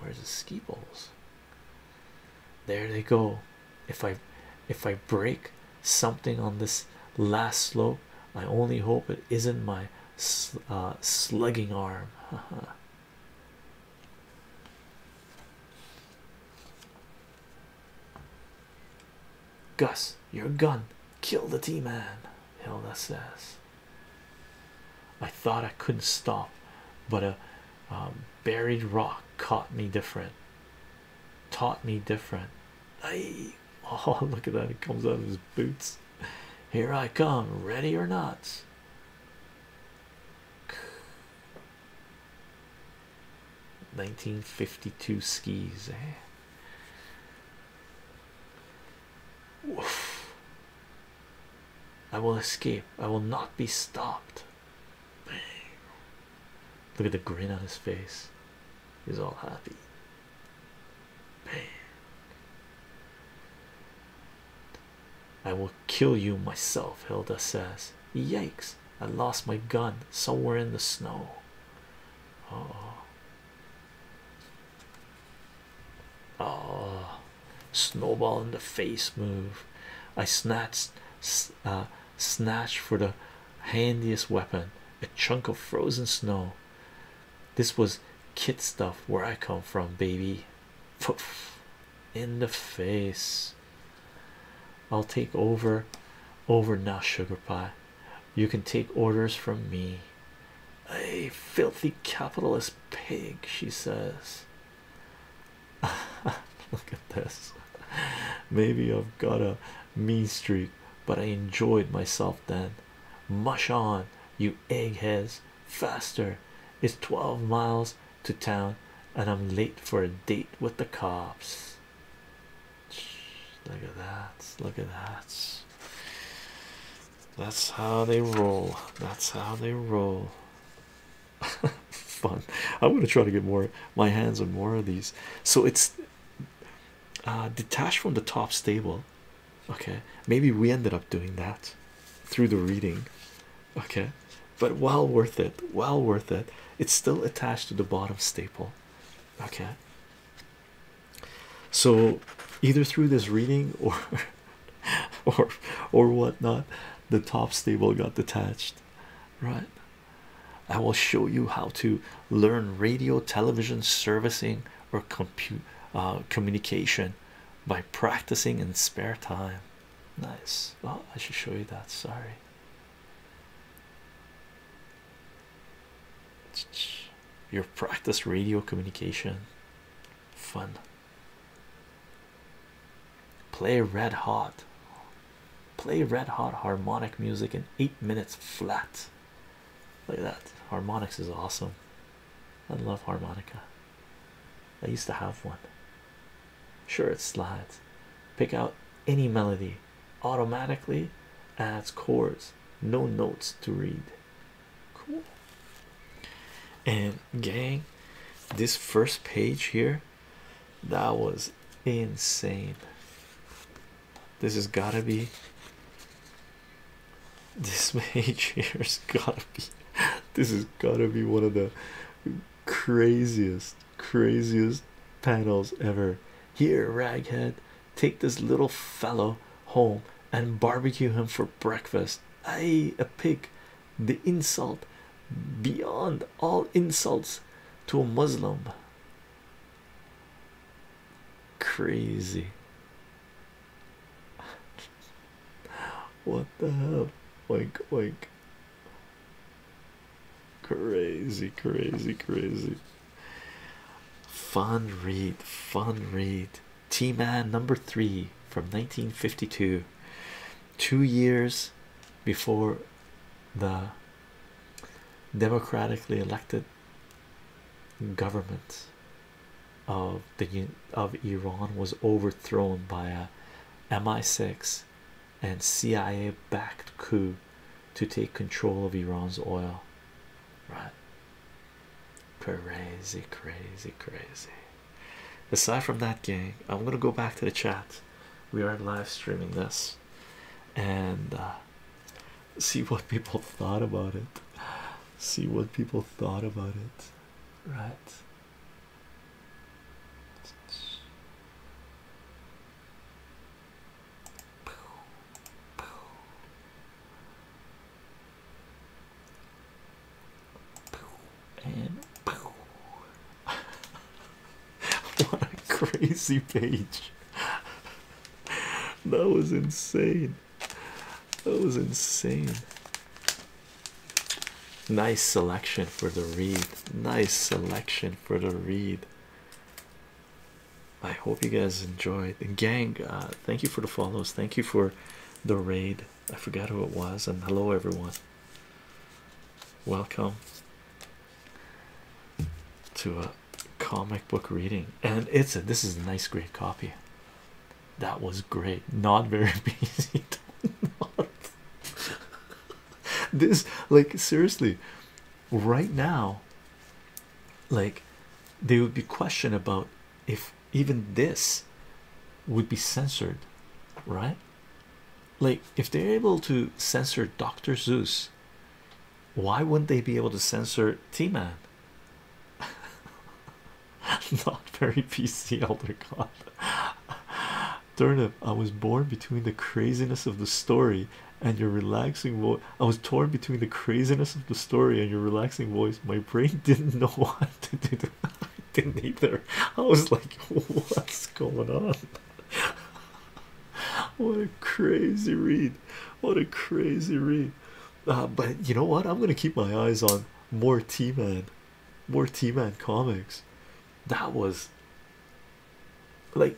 where's the ski poles? there they go if i if i break something on this last slope i only hope it isn't my sl uh, slugging arm Gus, your gun, kill the T man, Hilda says. I thought I couldn't stop, but a um, buried rock caught me different, taught me different. Aye. Oh, look at that! It comes out of his boots. Here I come, ready or not. 1952 skis, eh? I will escape, I will not be stopped. Bang. Look at the grin on his face, he's all happy. Bang. I will kill you myself, Hilda says. Yikes, I lost my gun somewhere in the snow. Oh, oh. snowball in the face move. I snatched, uh, snatched for the handiest weapon a chunk of frozen snow. This was kid stuff where I come from, baby. in the face. I'll take over over now, sugar pie. You can take orders from me. A filthy capitalist pig, she says. Look at this. Maybe I've got a mean streak, but I enjoyed myself then. Mush on, you eggheads, faster. It's 12 miles to town, and I'm late for a date with the cops. Look at that. Look at that. That's how they roll. That's how they roll. Fun. I'm gonna try to get more my hands on more of these. So it's uh, detached from the top staple. Okay, maybe we ended up doing that through the reading. Okay, but well worth it. Well worth it. It's still attached to the bottom staple okay so either through this reading or or or whatnot the top stable got detached right i will show you how to learn radio television servicing or compute uh, communication by practicing in spare time nice oh i should show you that sorry your practice radio communication fun. Play red hot, play red hot harmonic music in eight minutes flat. Look at that. Harmonics is awesome. I love harmonica. I used to have one. Sure, it slides. Pick out any melody automatically adds chords, no notes to read. Cool. And gang, this first page here, that was insane. This has gotta be this page here's gotta be this is gotta be one of the craziest craziest paddles ever. Here, raghead, take this little fellow home and barbecue him for breakfast. I a pig, the insult beyond all insults to a Muslim. Crazy. what the hell? Oink, oink. Crazy, crazy, crazy. Fun read, fun read. T Man number three from 1952, two years before the democratically elected government of the of Iran was overthrown by a MI6 and CIA backed coup to take control of Iran's oil. Right? Crazy, crazy, crazy. Aside from that, gang, I'm gonna go back to the chat. We are live streaming this and uh, see what people thought about it. See what people thought about it. Right. Boo, boo. Boo and boo. what a crazy page. that was insane. That was insane. Nice selection for the reed. Nice selection for the reed. I hope you guys enjoyed. And gang, uh, thank you for the follows. Thank you for the raid. I forgot who it was. And hello, everyone. Welcome to a comic book reading. And it's a this is a nice, great copy. That was great. Not very busy. this, like, seriously, right now like they would be questioned about if even this would be censored right like if they're able to censor dr zeus why wouldn't they be able to censor t-man not very pc elder god turnip i was born between the craziness of the story and your relaxing voice. I was torn between the craziness of the story and your relaxing voice. My brain didn't know what to do. I didn't either. I was like, what's going on? what a crazy read. What a crazy read. Uh, but you know what? I'm going to keep my eyes on more T Man. More T Man comics. That was like,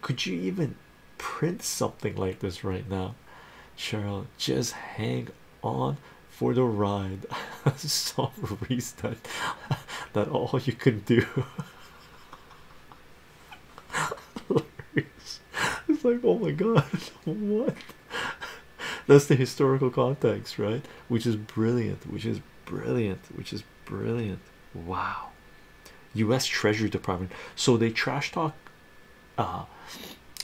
could you even print something like this right now, Cheryl? Just hang on for the ride. so that that all you can do. it's like, oh my god, what? That's the historical context, right? Which is brilliant, which is brilliant, which is brilliant. Wow, US Treasury Department. So they trash talk uh,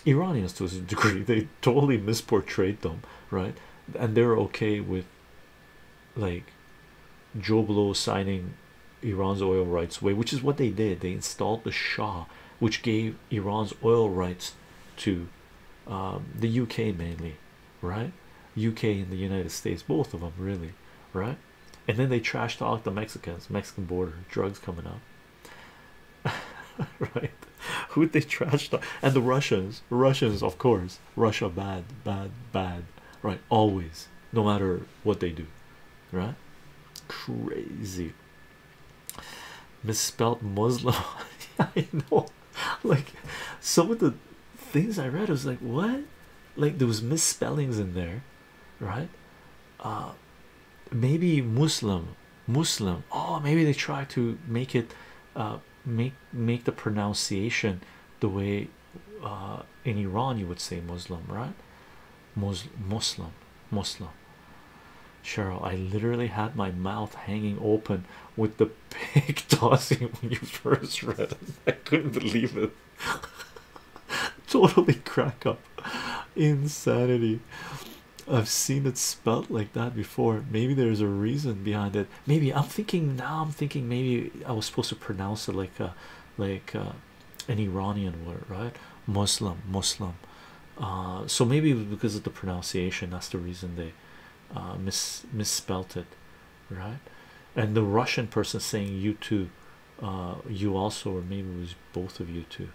Iranians to a degree, they totally misportrayed them, right? And they're okay with like Joe Blow signing Iran's oil rights away, which is what they did. They installed the Shah, which gave Iran's oil rights to um, the UK mainly, right? UK and the United States, both of them, really, right? and then they trashed all the Mexicans, Mexican border, drugs coming up, right? Who'd they trash And the Russians, Russians, of course, Russia bad, bad, bad, right? Always, no matter what they do, right? Crazy misspelled Muslim. I know, like some of the things I read, was like, What like there was misspellings in there right uh maybe muslim muslim oh maybe they try to make it uh make make the pronunciation the way uh in iran you would say muslim right muslim muslim muslim cheryl i literally had my mouth hanging open with the pig tossing when you first read it i couldn't believe it totally crack up insanity i've seen it spelt like that before maybe there's a reason behind it maybe i'm thinking now i'm thinking maybe i was supposed to pronounce it like like an iranian word right muslim muslim uh, so maybe because of the pronunciation that's the reason they uh misspelt it right and the russian person saying you too uh, you also or maybe it was both of you too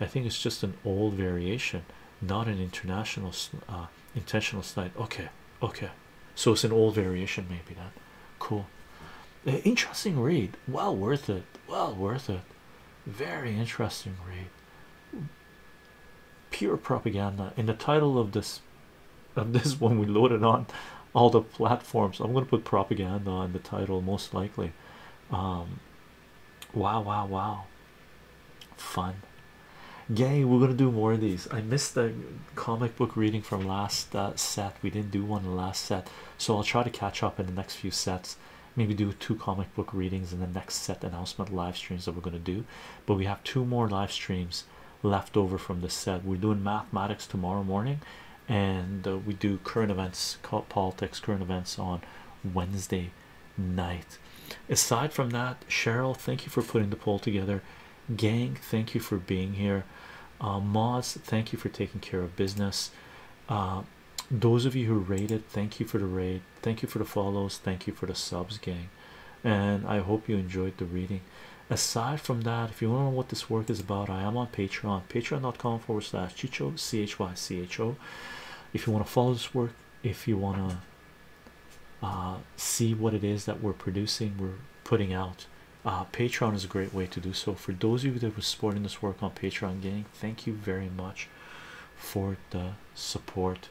i think it's just an old variation not an international uh, intentional slide okay okay so it's an old variation maybe that cool interesting read well worth it well worth it very interesting read pure propaganda in the title of this of this one we loaded on all the platforms. I'm gonna put propaganda on the title most likely. Um, wow, wow, wow, fun. yay! we're gonna do more of these. I missed the comic book reading from last uh, set. We didn't do one last set, so I'll try to catch up in the next few sets. Maybe do two comic book readings in the next set announcement live streams that we're gonna do. But we have two more live streams left over from the set. We're doing mathematics tomorrow morning, and uh, we do current events, politics, current events on Wednesday night. Aside from that, Cheryl, thank you for putting the poll together. Gang, thank you for being here. Uh, thank you for taking care of business. Uh, those of you who rated, thank you for the rate. Thank you for the follows. Thank you for the subs, gang. And I hope you enjoyed the reading aside from that if you want to know what this work is about i am on patreon patreon.com forward slash chicho chycho if you want to follow this work if you want to uh, see what it is that we're producing we're putting out uh, patreon is a great way to do so for those of you that were supporting this work on patreon gang thank you very much for the support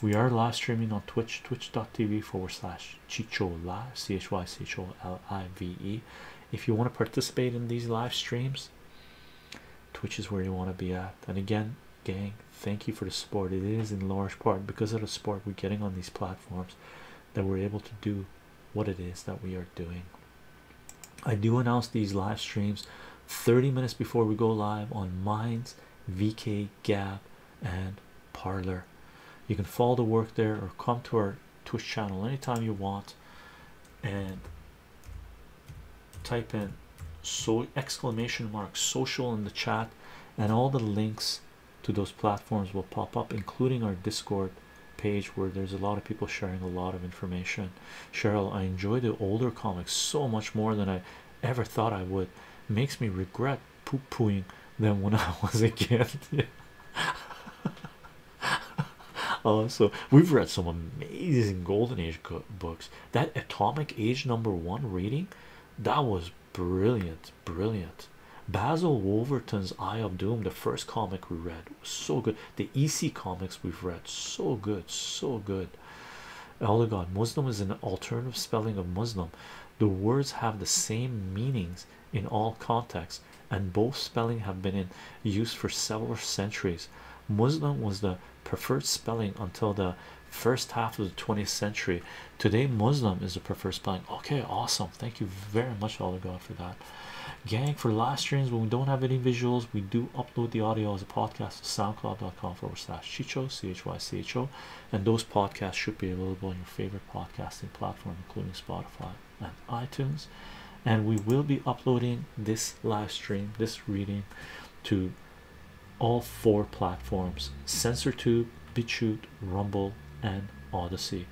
we are live streaming on twitch twitch.tv forward slash Chichola, Live, C H Y C H O L I V E. If you want to participate in these live streams, Twitch is where you want to be at. And again, gang, thank you for the support. It is in large part because of the support we're getting on these platforms that we're able to do what it is that we are doing. I do announce these live streams 30 minutes before we go live on Minds, VK, Gab, and Parlor. You can follow the work there or come to our twitch channel anytime you want and type in so exclamation mark social in the chat and all the links to those platforms will pop up including our discord page where there's a lot of people sharing a lot of information cheryl i enjoy the older comics so much more than i ever thought i would makes me regret Pooh-poohing, them when I was a kid. Yeah. also, we've read some amazing golden age books. That Atomic Age number one reading that was brilliant, brilliant. Basil Wolverton's Eye of Doom, the first comic we read, was so good. The EC comics we've read, so good, so good. Elder oh, God Muslim is an alternative spelling of Muslim the words have the same meanings in all contexts and both spelling have been in use for several centuries muslim was the preferred spelling until the first half of the 20th century today muslim is the preferred spelling okay awesome thank you very much all god for that gang for live streams when we don't have any visuals we do upload the audio as a podcast to soundcloud.com forward slash chicho chycho and those podcasts should be available on your favorite podcasting platform including spotify and iTunes, and we will be uploading this live stream, this reading, to all four platforms: SensorTube, BitChute, Rumble, and Odyssey.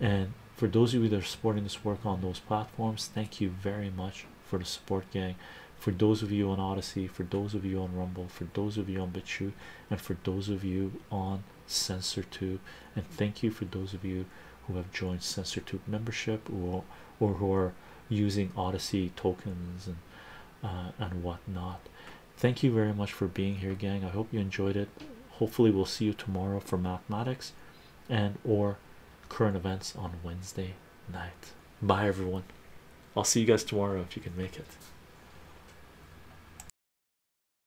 And for those of you that are supporting this work on those platforms, thank you very much for the support, gang. For those of you on Odyssey, for those of you on Rumble, for those of you on BitChute, and for those of you on Sensor Tube, and thank you for those of you who have joined Sensor Tube membership or or who are using Odyssey tokens and uh, and whatnot. Thank you very much for being here, gang. I hope you enjoyed it. Hopefully, we'll see you tomorrow for mathematics and or current events on Wednesday night. Bye, everyone. I'll see you guys tomorrow if you can make it.